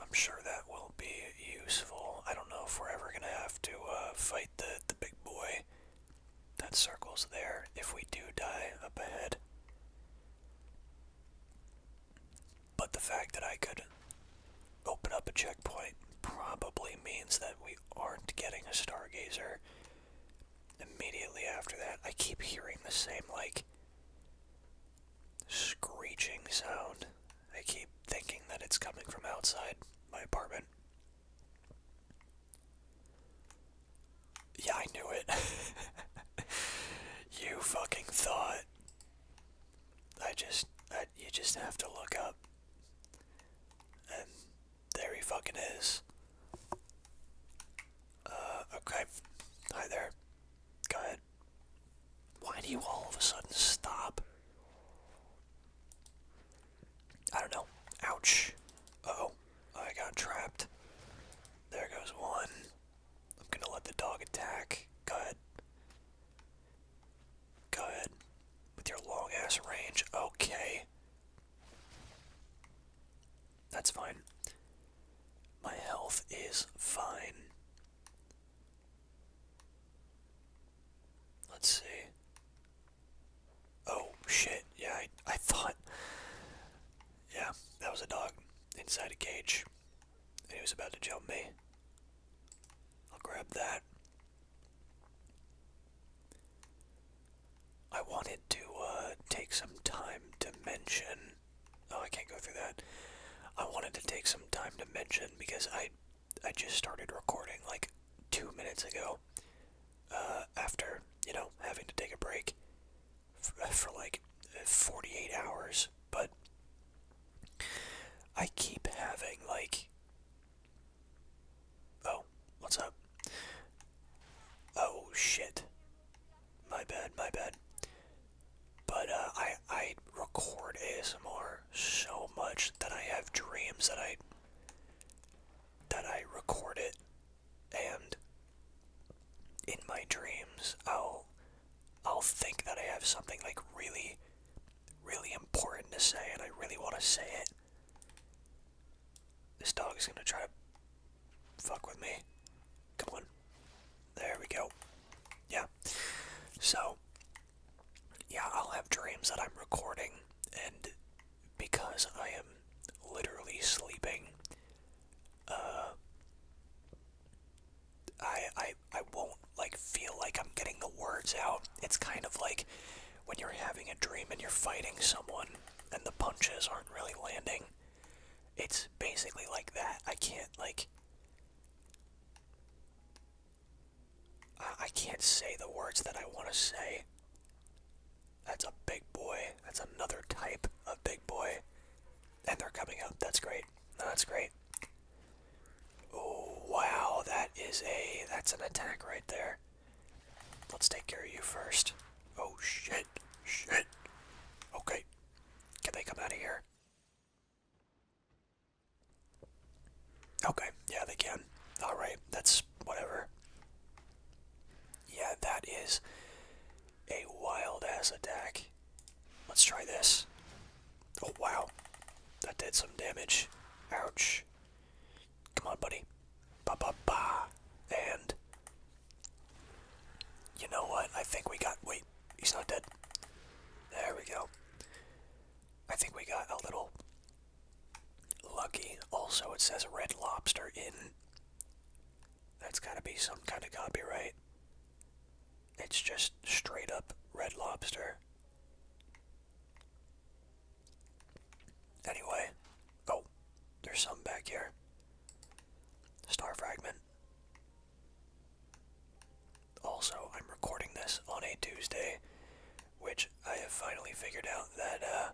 I'm sure that will be useful. I don't know if we're ever gonna have to uh, fight the the big boy. That circle's there. If we do die up ahead. But the fact that I could open up a checkpoint probably means that we aren't getting a stargazer immediately after that. I keep hearing the same, like, screeching sound I keep thinking that it's coming from outside my apartment. Yeah, I knew it. [laughs] you fucking thought. I just, you just have to look up. And there he fucking is. Uh, okay. Hi there. Go ahead. Why do you all of a sudden stop? I don't know. Ouch. oh. I got trapped. There goes one. I'm gonna let the dog attack. Go ahead. Go ahead. With your long ass range. Okay. That's fine. My health is fine. Let's see. Oh shit! Yeah, I, I thought. Yeah, that was a dog inside a cage, and he was about to jump me. I'll grab that. I wanted to uh, take some time to mention. Oh, I can't go through that. I wanted to take some time to mention because I I just started recording like two minutes ago. Uh, after you know having to take a break uh, for, like 48 hours, but I keep having like. Oh, what's up? Oh shit. My bad, my bad. But uh, I I record ASMR so much that I have dreams that I that I record it and in my dreams I'll I'll think that I have something like really really important to say and I really want to say it. This dog is gonna try to fuck with me. Come on. There we go. Yeah. So yeah, I'll have dreams that I'm recording, and because I am literally sleeping, uh, I I I won't like feel like I'm getting the words out. It's kind of like when you're having a dream and you're fighting someone, and the punches aren't really landing. It's basically like that. I can't like. I can't say the words that I want to say. That's a big boy. That's another type of big boy. And they're coming out. That's great. that's great. Oh, wow. That is a... That's an attack right there. Let's take care of you first. Oh, shit. Shit. Okay. Can they come out of here? Okay, yeah, they can. Alright, that's whatever. Yeah, that is a wild ass attack. Let's try this. Oh, wow. That did some damage. Ouch. Come on, buddy. Ba ba ba. And. You know what? I think we got. Wait, he's not dead. There we go. I think we got a little lucky. Also, it says Red Lobster in. That's gotta be some kind of copyright. It's just straight up Red Lobster. Anyway, oh, there's some back here. Star fragment. Also, I'm recording this on a Tuesday, which I have finally figured out that uh,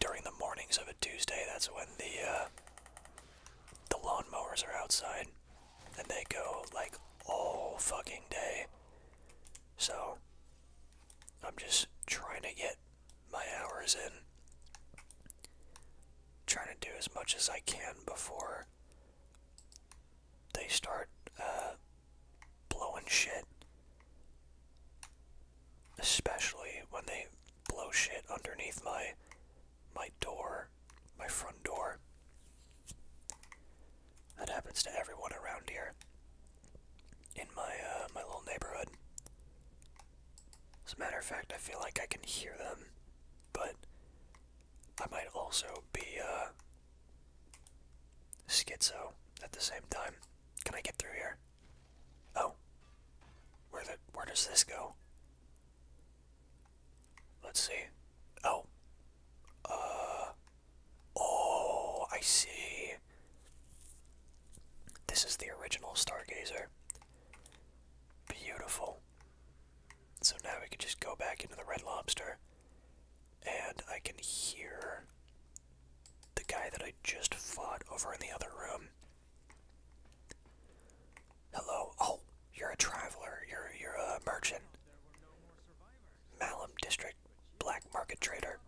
during the mornings of a Tuesday, that's when the uh, the lawnmowers are outside, and they go like all fucking day. So, I'm just trying to get my hours in, trying to do as much as I can before they start. Uh, blowing shit. Especially when they blow shit underneath my my door, my front door. That happens to everyone around here. In my uh, my little neighborhood. As a matter of fact, I feel like I can hear them, but I might also be uh, Schizo at the same time. Can I get through here? Oh. Where the where does this go? Let's see. Oh. Uh Oh, I see. This is the original Stargazer. Beautiful. So now we can just go back into the Red Lobster, and I can hear the guy that I just fought over in the other room. Hello. Oh, you're a traveler. You're you're a merchant. Malum District Black Market Trader.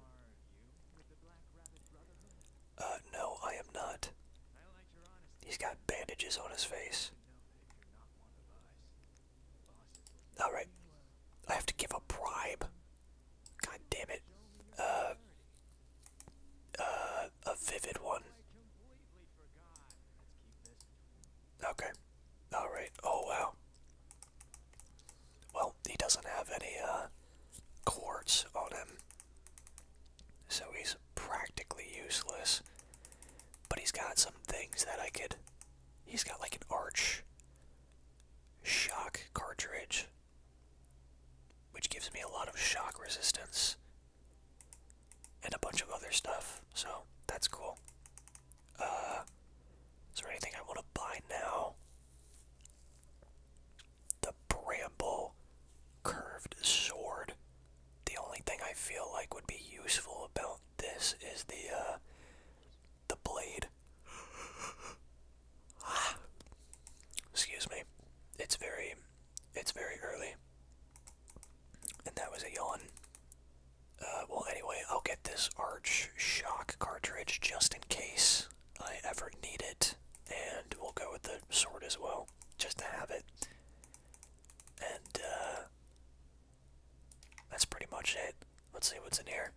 Uh, no, I am not. He's got bandages on his face. Alright. I have to give a bribe. God damn it. Uh, uh, a vivid one. Okay. Alright. Oh, wow. Well, he doesn't have any, uh, quartz on him. So he's practically useless. But he's got some things that I could He's got like an arch shock cartridge, which gives me a lot of shock resistance and a bunch of other stuff, so that's cool. Uh, is there anything I want to buy now? The Bramble Curved Sword. The only thing I feel like would be useful about this is the, uh, the blade. Excuse me. It's very it's very early. And that was a yawn. Uh, well, anyway, I'll get this Arch Shock cartridge just in case I ever need it. And we'll go with the sword as well, just to have it. And, uh, that's pretty much it. Let's see what's in here.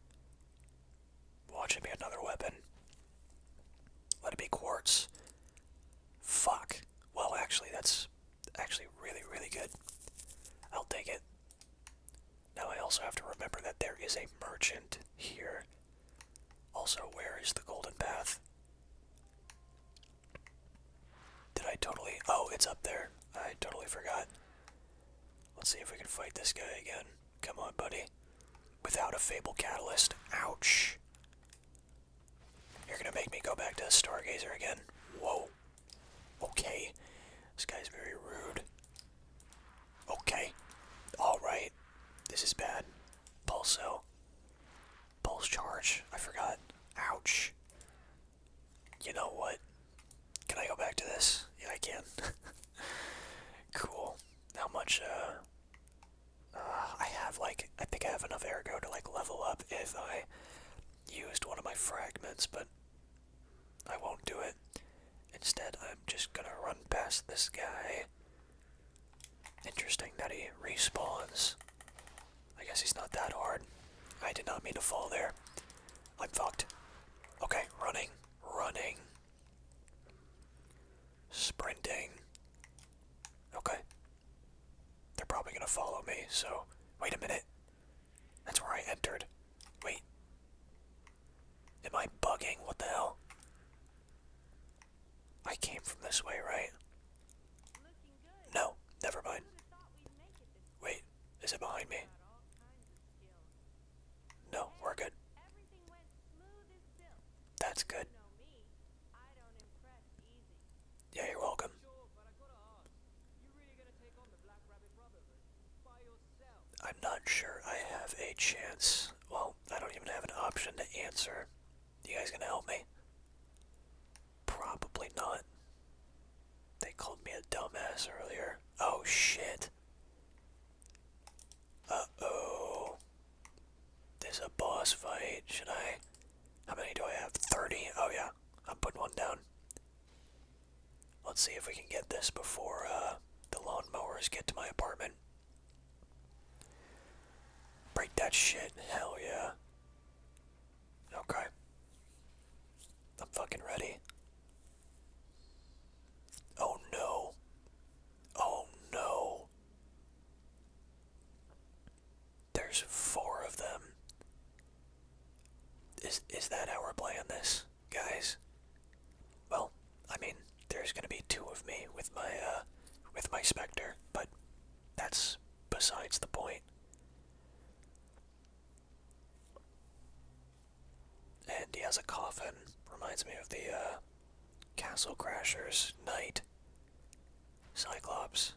Watch it be another weapon. Let it be quartz. Fuck. Well, actually, that's actually really, really good. I'll take it. Now I also have to remember that there is a merchant here. Also, where is the golden path? Did I totally... Oh, it's up there. I totally forgot. Let's see if we can fight this guy again. Come on, buddy. Without a Fable Catalyst. Ouch. You're gonna make me go back to Stargazer again. Whoa. Okay. This guy's very rude. Okay. Alright. This is bad. Pulso. Pulse charge. I forgot. Ouch. You know what? Can I go back to this? Yeah, I can. [laughs] cool. How much, uh, uh... I have, like, I think I have enough ergo to, like, level up if I used one of my fragments, but I won't do it. Instead, I'm just gonna run past this guy. Interesting that he respawns. I guess he's not that hard. I did not mean to fall there. I'm fucked. Okay, running, running, sprinting. Okay. They're probably gonna follow me, so wait a minute. That's where I entered. Wait. Am I bugging? What the hell? I came from this way, right? No, never mind. Wait. Is it behind me? No, we're good. That's good. Yeah, you're welcome. I'm not sure I have a chance. Well, I don't even have an option to answer. You guys gonna help me? Probably not. They called me a dumbass earlier. Oh shit. Uh oh. There's a boss fight. Should I? How many do I have? 30? Oh yeah. I'm putting one down. Let's see if we can get this before uh, the lawnmowers get to my apartment. Break that shit. Hell yeah. Okay. I'm fucking ready. Oh no. Oh no. There's four of them. Is is that how we're playing this, guys? Well, I mean, there's gonna be two of me with my uh with my specter, but that's besides the point. And he has a coffin. Reminds me of the uh, Castle Crashers Knight Cyclops.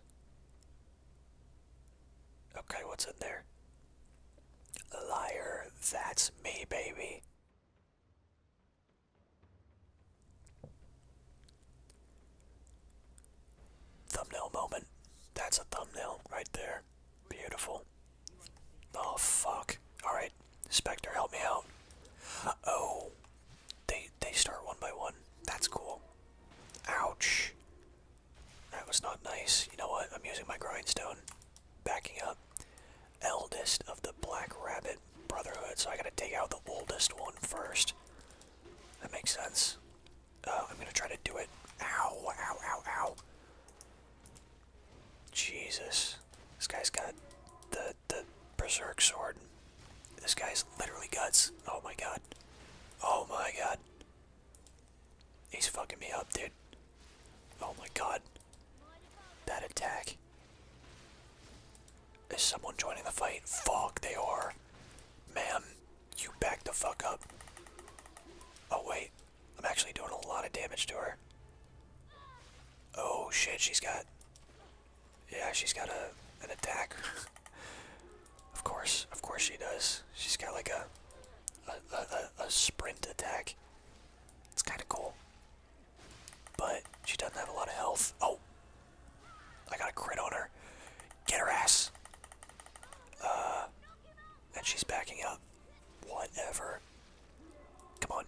Okay, what's in there? Liar, that's me, baby. Thumbnail moment. That's a thumbnail right there. Beautiful. Oh, fuck. Alright, Spectre, help me out. oh. They, they start one by one. That's cool. Ouch. That was not nice. You know what? I'm using my grindstone. Backing up. Eldest of the Black Rabbit Brotherhood, so I gotta take out the oldest one first. That makes sense. Uh, I'm gonna try to do it. Ow, ow, ow, ow. Jesus. This guy's got the, the berserk sword. This guy's literally guts. Oh my god. Oh my god. He's fucking me up, dude. Oh my god. That attack. Is someone joining the fight? Fuck, they are. Ma'am, you back the fuck up. Oh wait, I'm actually doing a lot of damage to her. Oh shit, she's got. Yeah, she's got a an attack. of course, of course she does. She's got like a a, a, sprint attack. It's kind of cool. But she doesn't have a lot of health. Oh, I got a crit on her. Get her ass. Uh, and she's backing up. Whatever. Come on.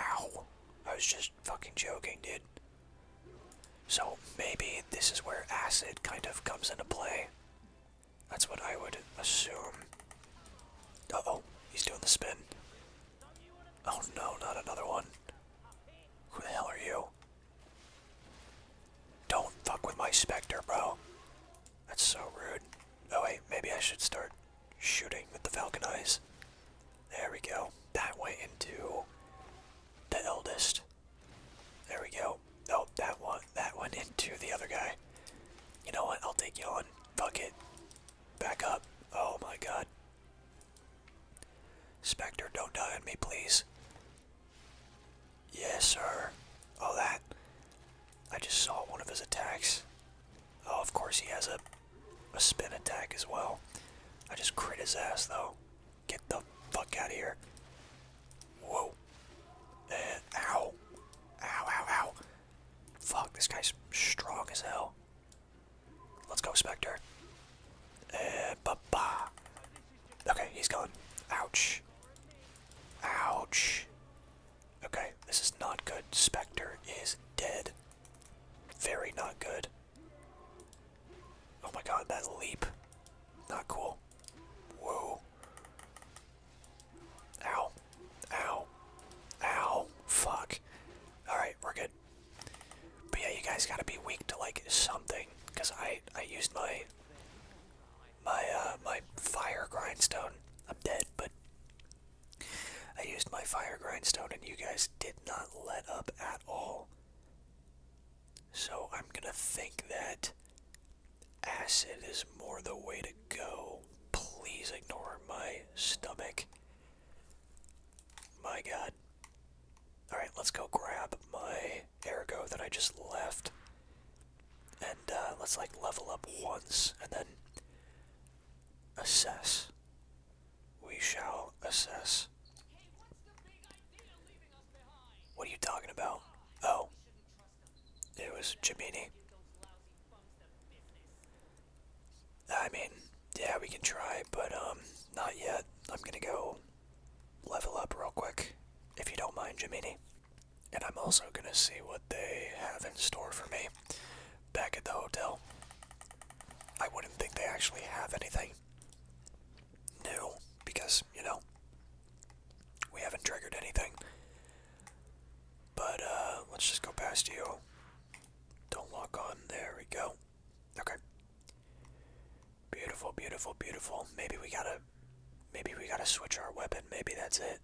Ow. I was just fucking joking, dude. So maybe this is where acid kind of comes into play. That's what I would assume. Uh oh, he's doing the spin. Oh no, not another one. Who the hell are you? Don't fuck with my Spectre, bro. That's so rude. Oh wait, maybe I should start shooting with the falcon eyes. There we go. That went into the eldest. There we go. Oh, that one that went into the other guy. You know what? I'll take you on. Fuck it. Back up. Oh my god. Spectre, don't die on me, please. Yes, sir. Oh, that. I just saw one of his attacks. Oh, of course he has a, a spin attack as well. I just crit his ass, though. Get the fuck out of here. Whoa. ow. Ow, ow, ow. Fuck, this guy's strong as hell. Let's go, Spectre. Uh, -ba. Okay, he's gone. Ouch. Ouch. Okay, this is not good. Spectre is dead. Very not good. Oh my god, that leap. Not cool. Whoa. Ow. Ow. Ow. Fuck. Alright, we're good. But yeah, you guys gotta be weak to like something. Cause I I used my my uh, my fire grindstone. I'm dead, but I used my fire grindstone, and you guys did not let up at all. So I'm gonna think that acid is more the way to go. Please ignore my stomach. My god. Alright, let's go grab my ergo that I just left and uh, let's like level up once and then assess. We shall assess. What are you talking about? Oh, it was Jiminy. I mean, yeah, we can try, but um, not yet. I'm gonna go level up real quick, if you don't mind, Jiminy. And I'm also going to see what they have in store for me back at the hotel. I wouldn't think they actually have anything new because, you know, we haven't triggered anything. But uh, let's just go past you. Don't walk on. There we go. Okay. Beautiful, beautiful, beautiful. Maybe we gotta Maybe we gotta switch our weapon. Maybe that's it.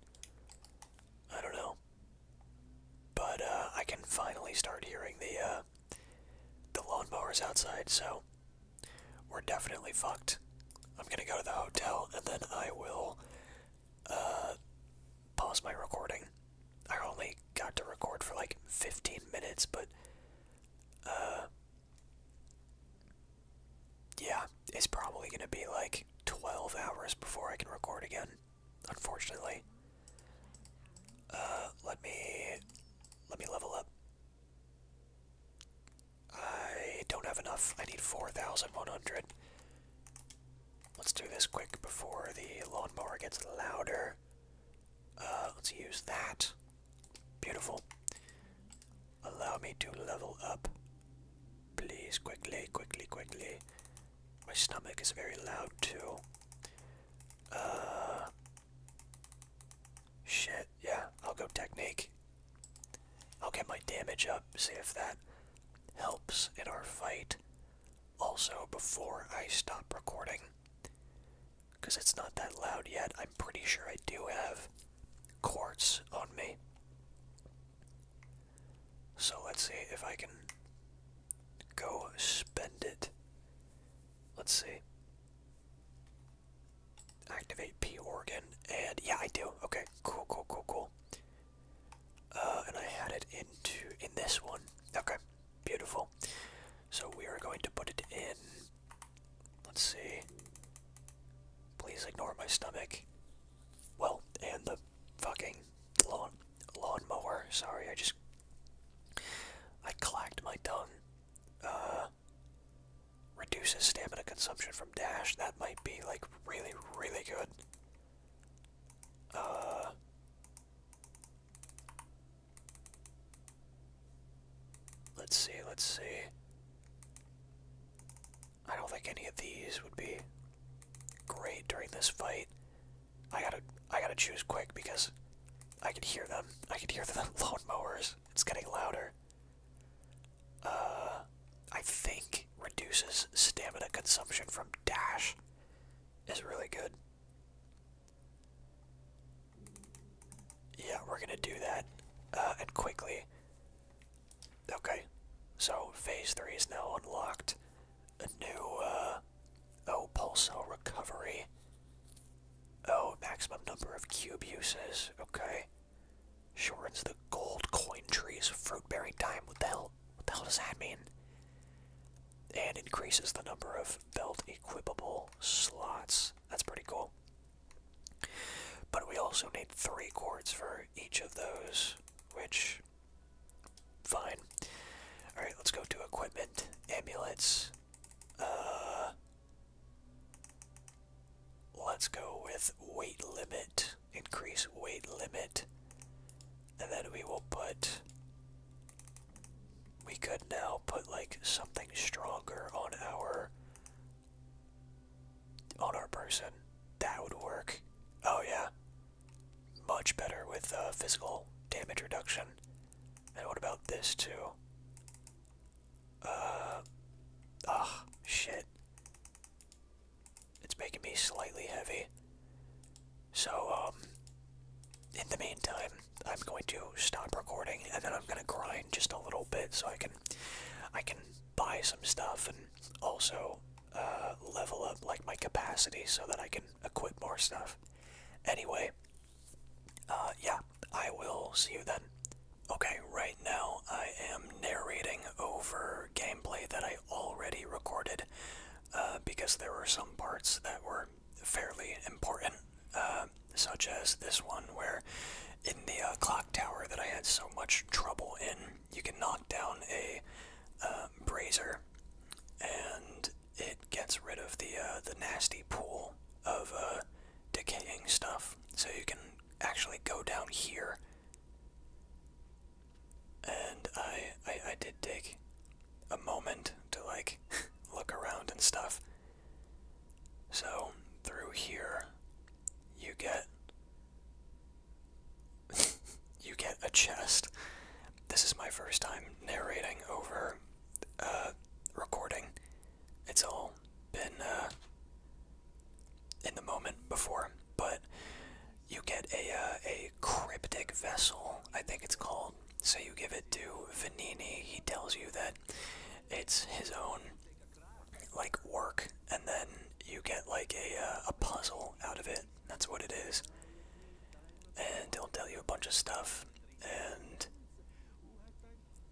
I don't know. But uh, I can finally start hearing the uh, the lawnmowers outside, so we're definitely fucked. I'm gonna go to the hotel and then I will uh, pause my recording. I only got to record for like 15 minutes, but uh, yeah, it's probably going to be like 12 hours before I can record again, unfortunately. Uh, let me, let me level up. I don't have enough. I need 4,100. Let's do this quick before the lawnmower gets louder. Uh, let's use that. Beautiful. Allow me to level up. Please, quickly, quickly, quickly. My stomach is very loud too. Uh. Shit, yeah, I'll go technique. I'll get my damage up, see if that helps in our fight. Also, before I stop recording, because it's not that loud yet, I'm pretty sure I do have quartz on me. So let's see if I can go spend it. Let's see. Activate P organ, and yeah, I do. Okay, cool, cool, cool, cool. Uh, and I had it into in this one. Okay, beautiful. So we are going to put it in. Let's see. Please ignore my stomach well, and the fucking lawn lawnmower. Sorry, I just I clacked my tongue. Uh, reduces stamina consumption from dash. That might be like really, really good. Uh, let's see. Let's see. I don't think any of these would be great during this fight. I gotta I gotta choose quick because I can hear them. I can hear [laughs] the lawn mowers. It's getting louder. Uh I think reduces stamina consumption from dash is really good. Yeah, we're gonna do that. Uh and quickly. Okay, so phase three is now unlocked. A new, uh, oh, pulsar recovery. Oh, maximum number of cube uses. Okay, shortens the gold coin trees fruit bearing time. What the hell? What the hell does that mean? And increases the number of belt equipable slots. That's pretty cool. But we also need three cords for each of those, which. Fine. Alright, let's go to equipment, amulets. Uh. Let's go with weight limit. Increase weight limit. And then we will put. We could now put like something stronger on our on our person. That would work. Oh yeah. Much better with uh, physical damage reduction. And what about this too? Uh, oh, shit. It's making me slightly heavy. So, um, in the meantime, I'm going to stop recording and then I'm going to grind just a little bit so I can, I can buy some stuff and also uh, level up like my capacity so that I can equip more stuff. Anyway, uh, yeah, I will see you then. Okay, right now I am narrating over gameplay that I already recorded uh, because there were some parts that were fairly important, such as this one where in the clock tower that I had so much trouble in, you can knock down a uh, brazier and it gets rid of the uh, the nasty pool of uh, decaying stuff. So you can actually go down here. And I, I did take a moment to like [laughs] look around and stuff. So through here you get [laughs] you get a chest. This is my first time narrating over uh, recording. It's all been uh, in the moment before, but you get a uh, a cryptic vessel. I think it's called. So you give it to Vanini. He tells you that it's his own like work, and then you get like a uh, a puzzle out of it. That's what it is. And it'll tell you a bunch of stuff. And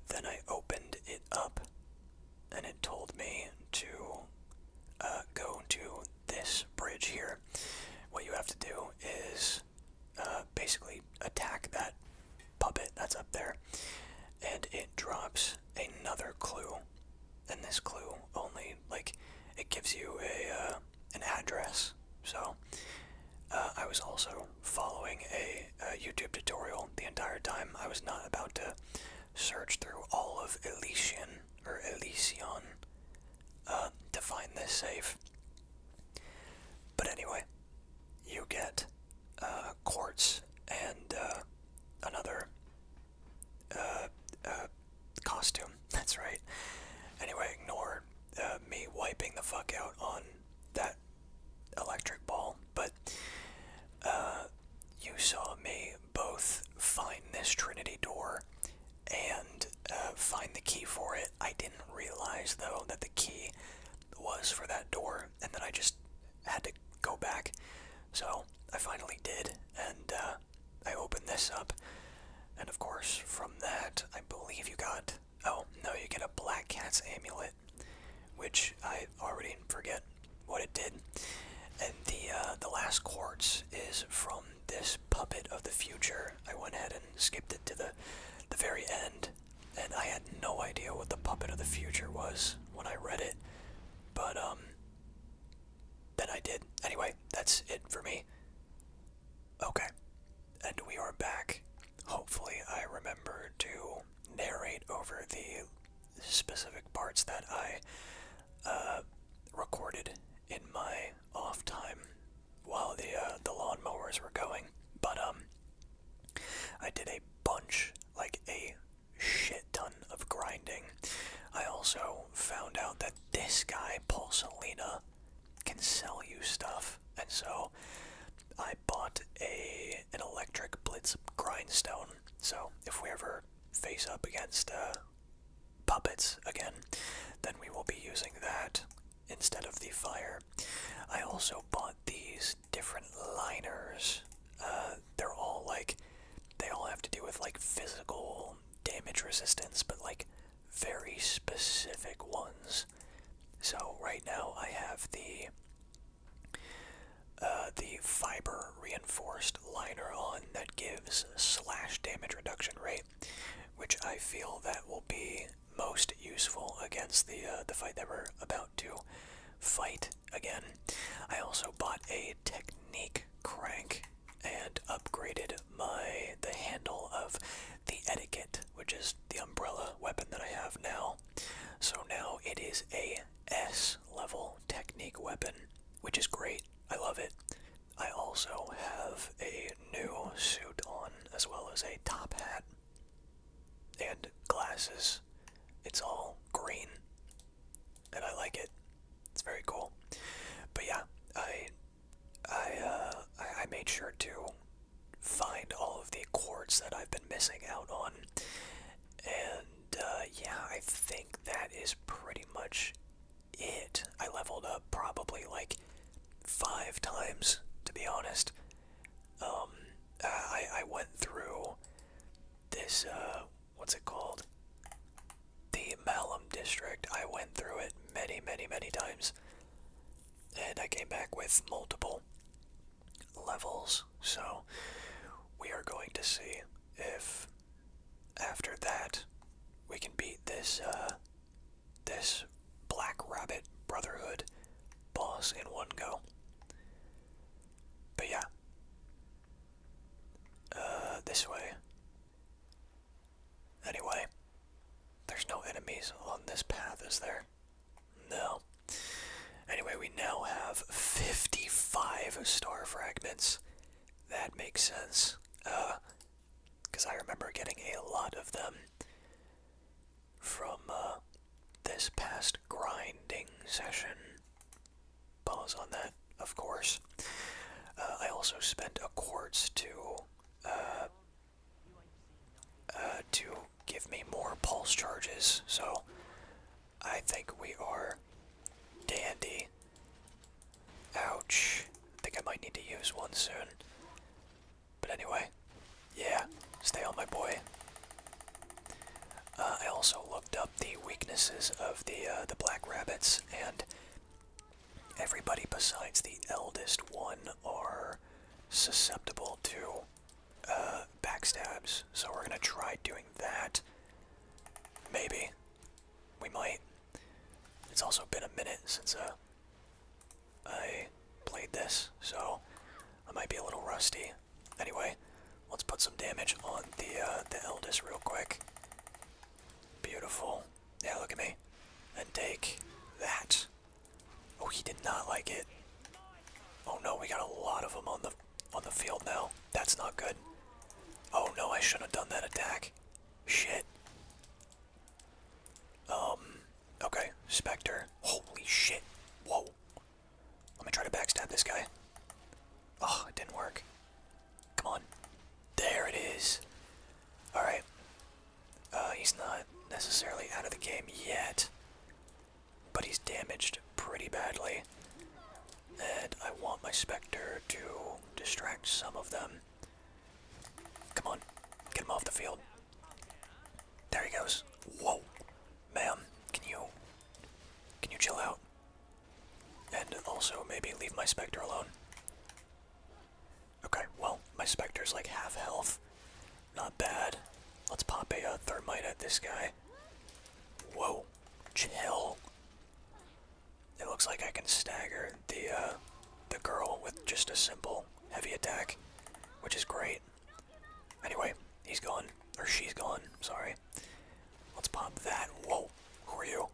then I opened it up, and it told me to uh, go to this bridge here. What you have to do is uh, basically attack that puppet that's up there, and it drops another clue than this clue. Only like it gives you a uh, an address. So uh, I was also following a, a YouTube tutorial the entire time. I was not about to search through all of Elysian or Elysion uh, to find this safe. But anyway, you get uh, quartz and uh, another uh, uh, costume. [laughs] That's right. Anyway, ignore uh, me wiping the fuck out on that electric ball, but uh, you saw me both find this Trinity door and uh, find the key for it. I didn't realize, though, that the key was for that door, and then I just had to go back. So I finally did, and uh, I opened this up. And of course, from that, I believe you got. Oh, no, you get a Black Cat's Amulet, which I already forget what it did. And the, uh, the last quartz is from this Puppet of the Future. I went ahead and skipped it to the, the very end, and I had no idea what the Puppet of the Future was when I read it. But, um, that I did. Anyway, that's it for me. Okay. And we are back. Hopefully, I remember to narrate over the specific parts that I uh, recorded in my off time while the uh, the lawnmowers were going. But um, I did a bunch, like a shit ton of grinding. I also found out that this guy, Paul Salina, can sell you stuff, and so I bought a an electric blitz grindstone. So if we ever face up against uh, puppets again, then we will be using that instead of the fire. I also bought these different liners uh, they're all like they all have to do with like physical damage resistance, but like very specific ones. So right now I have the uh, the fiber reinforced liner on that gives slash damage reduction rate, which I feel that will be most useful against the uh, the fight that we're about to fight again. I also bought a technique crank and upgraded my the handle of the etiquette, which is the umbrella weapon that I have now. So now it is a S level technique weapon, which is great. I love it. I also have a new suit on, as well as a top hat and glasses. It's all green and I like it. It's very cool. But yeah, I I uh, I, made sure to find all of the chords that I've been missing out on, and uh, yeah, I think that is pretty much it. I leveled up probably like five times, to be honest. Um, uh, I I went through this uh, what's it called? The Malum district. I went through it many, many, many times. And I came back with multiple levels. So we are going to see if after that we can beat this uh, this Black Rabbit Brotherhood boss in one go. But yeah. Uh, this way. Anyway, there's no enemies on this path, is there? No. Anyway, we now have 55 star fragments. That makes sense. Uh, because I remember getting a lot of them from, uh, this past grinding session bonus on that, of course. Uh, I also spent a quartz to uh, uh, to give me more pulse charges, so I think we are dandy. Ouch. I think I might need to use one soon. But anyway, yeah, stay on my boy. Uh, I also looked up the weaknesses of the uh, the black rabbits, and everybody besides the eldest one are susceptible to uh, backstabs. So we're gonna try doing that. Maybe we might. It's also been a minute since I played this, so I might be a little rusty. Anyway, Let's put some damage on the uh, the eldest real quick. Beautiful. Yeah, look at me. And take that. Oh, he did not like it. Oh no, we got a lot of them on the on the field now. That's not good. Oh no, I shouldn't have done that attack. Shit. Um. Okay, Spectre. Holy shit. Whoa. Let me try to backstab this guy. Oh, it didn't work. Come on. There it is. Alright. Uh, he's not necessarily out of the game yet. But he's damaged pretty badly. And I want my Spectre to distract some of them. Come on. Get him off the field. There he goes. Whoa. man, can you... Can you chill out? And also maybe leave my Spectre alone. Okay, well, my Spectre's like half health. Not bad. Let's pop a uh, Thermite at this guy. Whoa, chill. It looks like I can stagger the, uh, the girl with just a simple heavy attack, which is great. Anyway, he's gone. Or she's gone, sorry. Let's pop that. Whoa, who are you?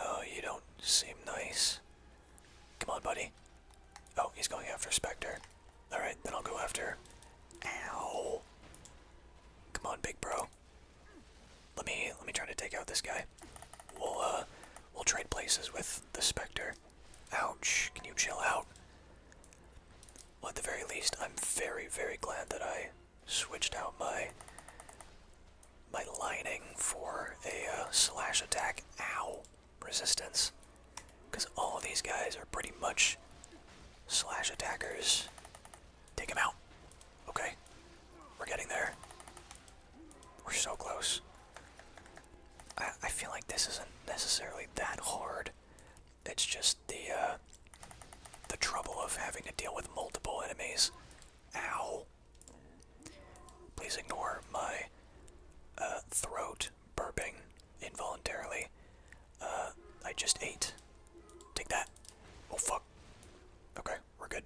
Oh, you don't seem nice. Come on, buddy. Oh, he's going after Spectre. Alright, then I'll go after. Ow. Come on, big bro. Let me let me try to take out this guy. We'll uh we'll trade places with the Spectre. Ouch, can you chill out? at the very least, I'm very, very glad that I switched out my my lining for a uh, slash attack ow resistance because all of these guys are pretty much slash attackers take him out okay we're getting there we're so close I, I feel like this isn't necessarily that hard it's just the uh, the trouble of having to deal with multiple enemies. Ow! Please ignore my uh, throat burping involuntarily. Uh, I just ate. Take that. Oh fuck. Okay, we're good.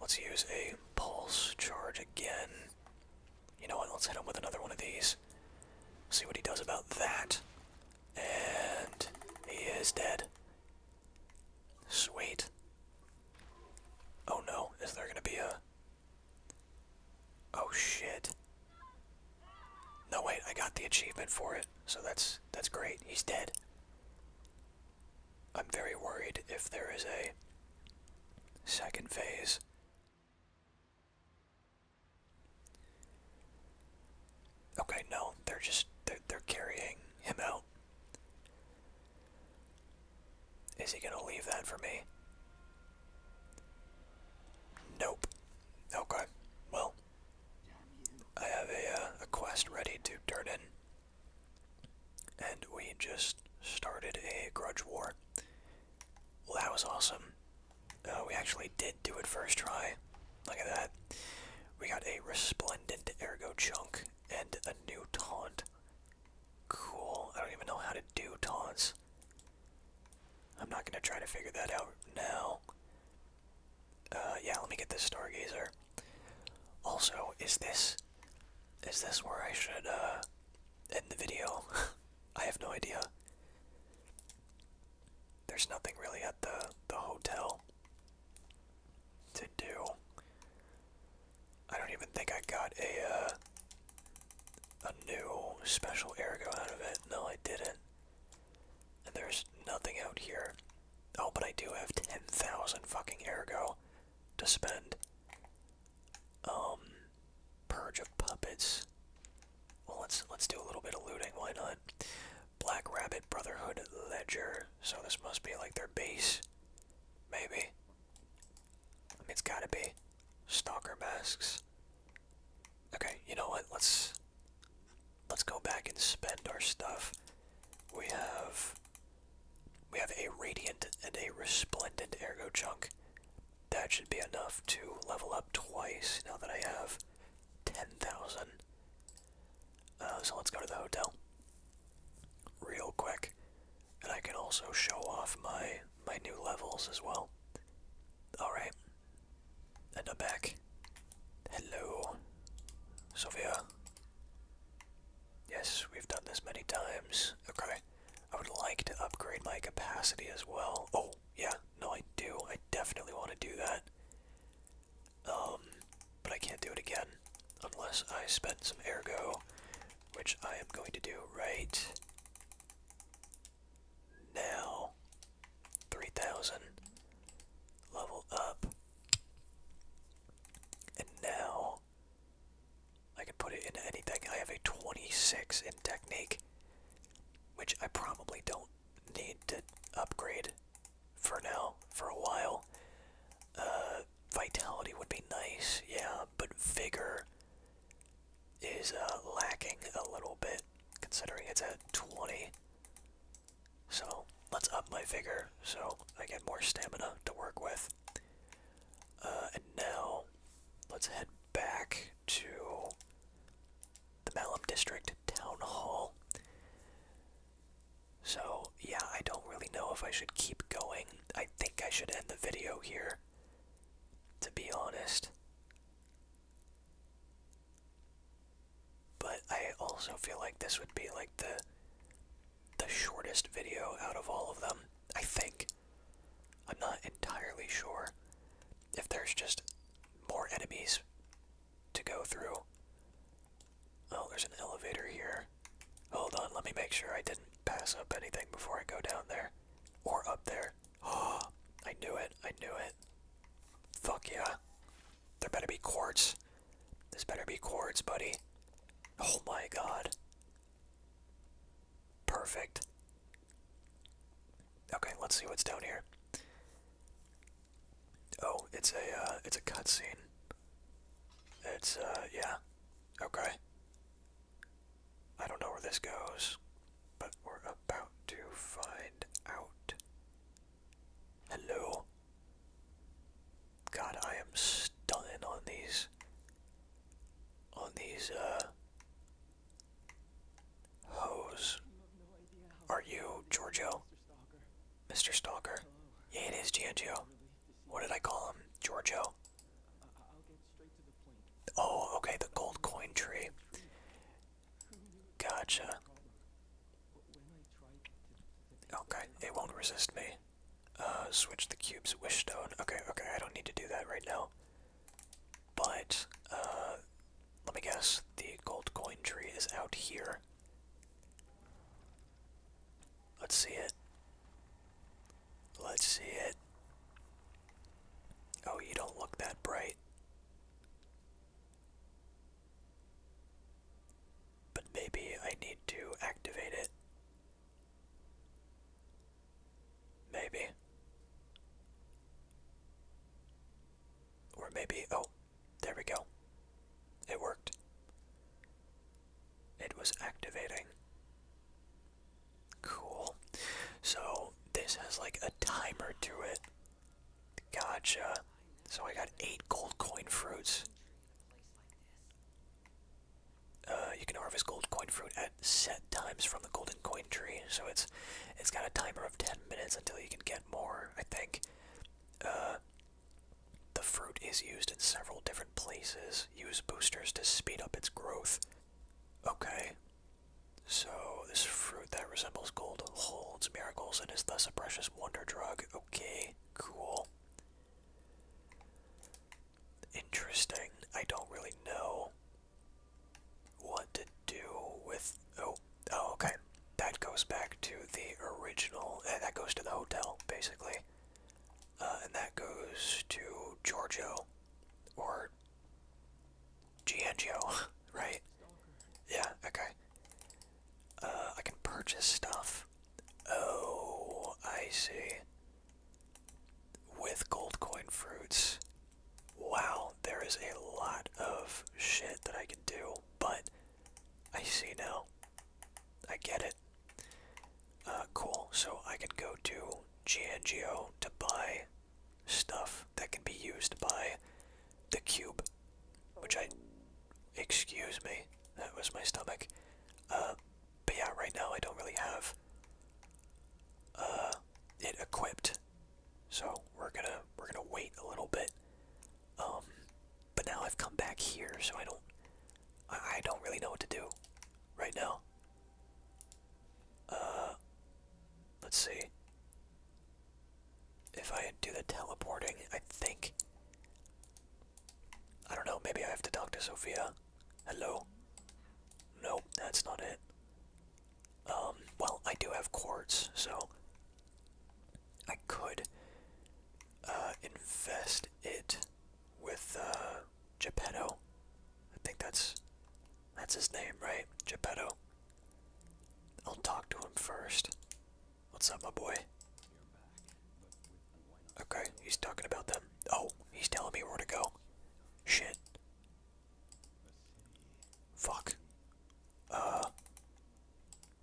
Let's use a pulse charge again. You know what? Let's hit him with another one of these. See what he does about that. And he is dead. Sweet. Oh no, is there gonna be a. Oh shit. No wait, I got the achievement for it, so that's that's great. He's dead. I'm very worried if there is a second phase. Okay, no, they're just they're, they're carrying him out. Is he gonna leave that for me? Nope. Okay. Well, I have a uh, a quest ready to turn in, and we just started a grudge war. Well, that was awesome. Uh, we actually did do it first try. Look at that. We got a resplendent ergo chunk and a new taunt. Cool. I don't even know how to do taunts. I'm not gonna try to figure that out now. Uh, yeah, let me get this stargazer. Also, is this is this where I should uh, end the video? [laughs] I have no idea there's nothing really at the the hotel to do. I don't even think I got a uh, a new special ergo out of it. No, I didn't. And there's nothing out here. Oh, but I do have ten thousand fucking ergo to spend. Um, purge of puppets. Well, let's let's do a little bit of looting. Why not? Black Rabbit Brotherhood Ledger. So this must be like their base. Maybe. it's gotta be. Stalker masks. Okay, you know what? Let's let's go back and spend our stuff. We have we have a radiant and a resplendent ergo chunk. That should be enough to level up twice now that I have 10,000. Uh, so let's go to the hotel real quick, and I can also show off my my new levels as well. All right, and I'm back. Hello, Sophia. Yes, we've done this many times. Okay, I would like to upgrade my capacity as well. Oh, yeah, no, I do. I definitely want to do that. Um, but I can't do it again unless I spend some ergo, which I am going to do right now. 3000. Level up. And now I can put it into anything. I have a 26 in technique, which I probably don't need to upgrade for now, for a while. Uh, vitality would be nice, yeah, but vigor is uh, lacking a little bit, considering it's at 20. So, let's up my vigor so I get more stamina to work with. Uh, and now, let's head back to the Malum District Town Hall. So, yeah, I don't really know if I should keep going. I think I should end the video here, to be honest. But I also feel like this would be like the the shortest video out of all of them, I think. I'm not entirely sure if there's just more enemies to go through. Oh, there's an elevator here. Hold on, let me make sure I didn't pass up anything before I go down there. Or up there. Oh, [gasps] I knew it, I knew it. Fuck yeah. There better be quartz. This better be quartz, buddy. Oh my god. Perfect. Okay, let's see what's down here. Oh, it's a uh, it's a cutscene. It's uh yeah. Okay. I don't know where this goes, but we're about to find out. Hello. God, I am stunning on these on these uh hose. Are you Giorgio? Mr. Stalker. Yeah, it is Giorgio. What did I call him? Giorgio. Oh, okay, the gold coin tree. Gotcha. Okay, it won't resist me. Uh, switch the cubes, wish stone. Okay, okay, I don't need to do that right now. But, uh, let me guess, the gold coin tree is out here. Let's see it. Let's see it. Oh, you don't look that bright. But maybe I need to activate it. Maybe. Or maybe, oh, there we go. It worked. It was activating. Cool. So this has like a timer to it. Gotcha. So I got eight gold coin fruits. Uh, you can harvest gold coin fruit at set times from the golden coin tree. So it's it's got a timer of 10 minutes until you can get more, I think. Uh, the fruit is used in several different places. Use boosters to speed up its growth. Okay. So, this fruit that resembles gold holds miracles and is thus a precious wonder drug. Okay, cool. Interesting. I don't really know what to do with. Oh, Oh, okay. That goes back to the original. and eh, that goes to the hotel, basically. Uh, and that goes to Giorgio. Or. Giangio, [laughs] right? Yeah, okay. Uh, I can purchase stuff. Oh, I see. With gold coin fruits. Wow, there is a lot of shit that I can do, but I see now. I get it. Uh, cool. So I can go to GNGO to buy stuff that can be used by the cube, which I. Excuse me. That was my stomach. Uh, but yeah, right now I don't really have uh, it equipped, so we're gonna we're gonna wait a little bit um, but now I've come back here, so I don't, I, I don't really know what to do right now. Uh, let's see. If I do the teleporting, I think. I don't know, maybe I have to talk to Sophia. Hello? No, that's not it. Um, well, I do have quartz, so I could uh, invest it with uh, Geppetto. I think that's that's his name, right? Geppetto. I'll talk to him first. What's up, my boy? Okay, he's talking about them. Oh, he's telling me where to go. Shit. Fuck. Uh,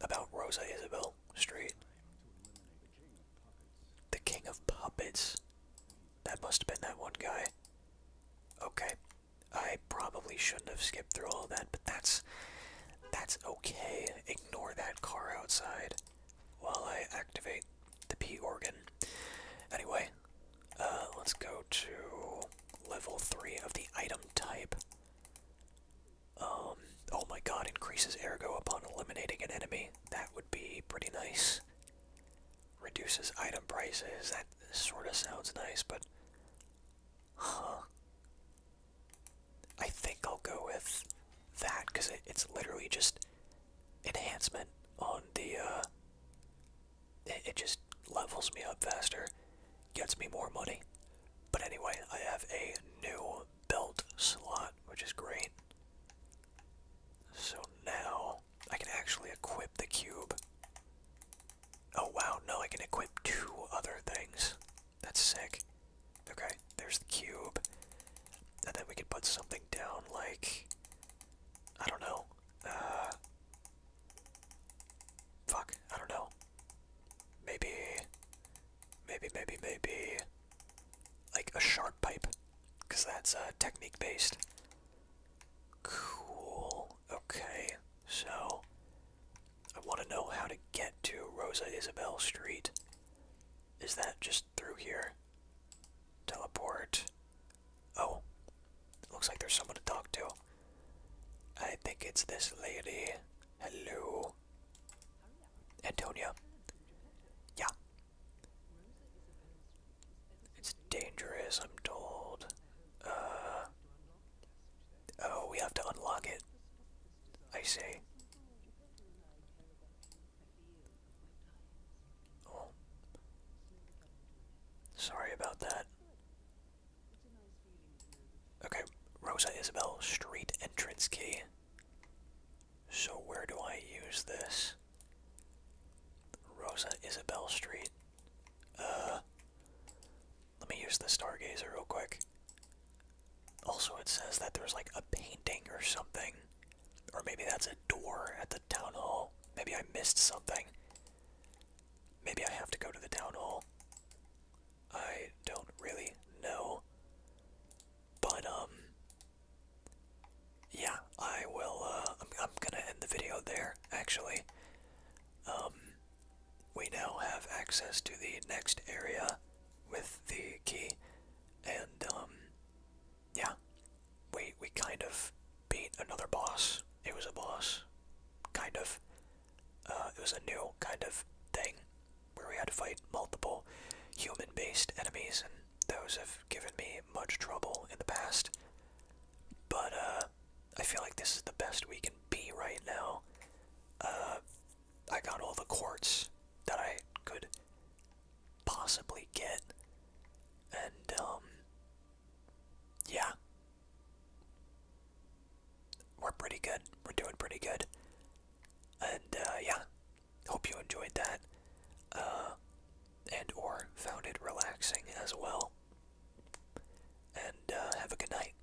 about Rosa Isabel Street. The King of Puppets. That must have been that one guy. Okay. I probably shouldn't have skipped through all that, but that's that's okay. Ignore that car outside while I activate the P organ. Anyway, uh, let's go to level 3 of the item type. Um, oh my god, increases ergo upon eliminating an enemy. That would be pretty nice. Reduces item prices. That sort of sounds nice, but. Huh. I think I'll go with that because it's literally just enhancement on the. Uh, it just levels me up faster, gets me more money. But anyway, I have a new belt slot, which is great. So now I can actually equip the cube. Oh wow, no, I can equip two other things. That's sick. Okay, there's the cube. And then we can put something down like. I don't know. Uh, fuck, I don't know. Maybe, maybe, maybe, maybe, like a sharp pipe, because that's uh, technique based. Cool. Okay, so I want to know how to get to Rosa Isabel Street. Is that just through here? Teleport. Oh, looks like there's someone to talk to. I think it's this lady. Hello. Antonio. Yeah. It's dangerous, I'm told. Uh, oh, we have to unlock it. I see. Oh. Sorry about that. Okay, Rosa Isabel Street entrance key. So where do I use this? Rosa Isabel Street. Uh, let me use the Stargazer real quick. Also, it says that there's like a painting or something. Or maybe that's a door at the town hall. Maybe I missed something. Maybe I have to go to the town hall. I don't really know. But um yeah, I will uh I'm I'm gonna end the video there actually. Um we now have access to the next area with the key and um yeah. We we kind of beat another boss. It was a boss. Kind of. Uh, it was a new kind of thing where we had to fight multiple human based enemies, and those have given me much trouble in the past. But uh, I feel like this is the best we can be right now. Uh, I got all the quartz that I could possibly get, and um, yeah we're pretty good. We're doing pretty good. And uh, yeah, hope you enjoyed that, uh, and or found it relaxing as well. And uh, have a good night.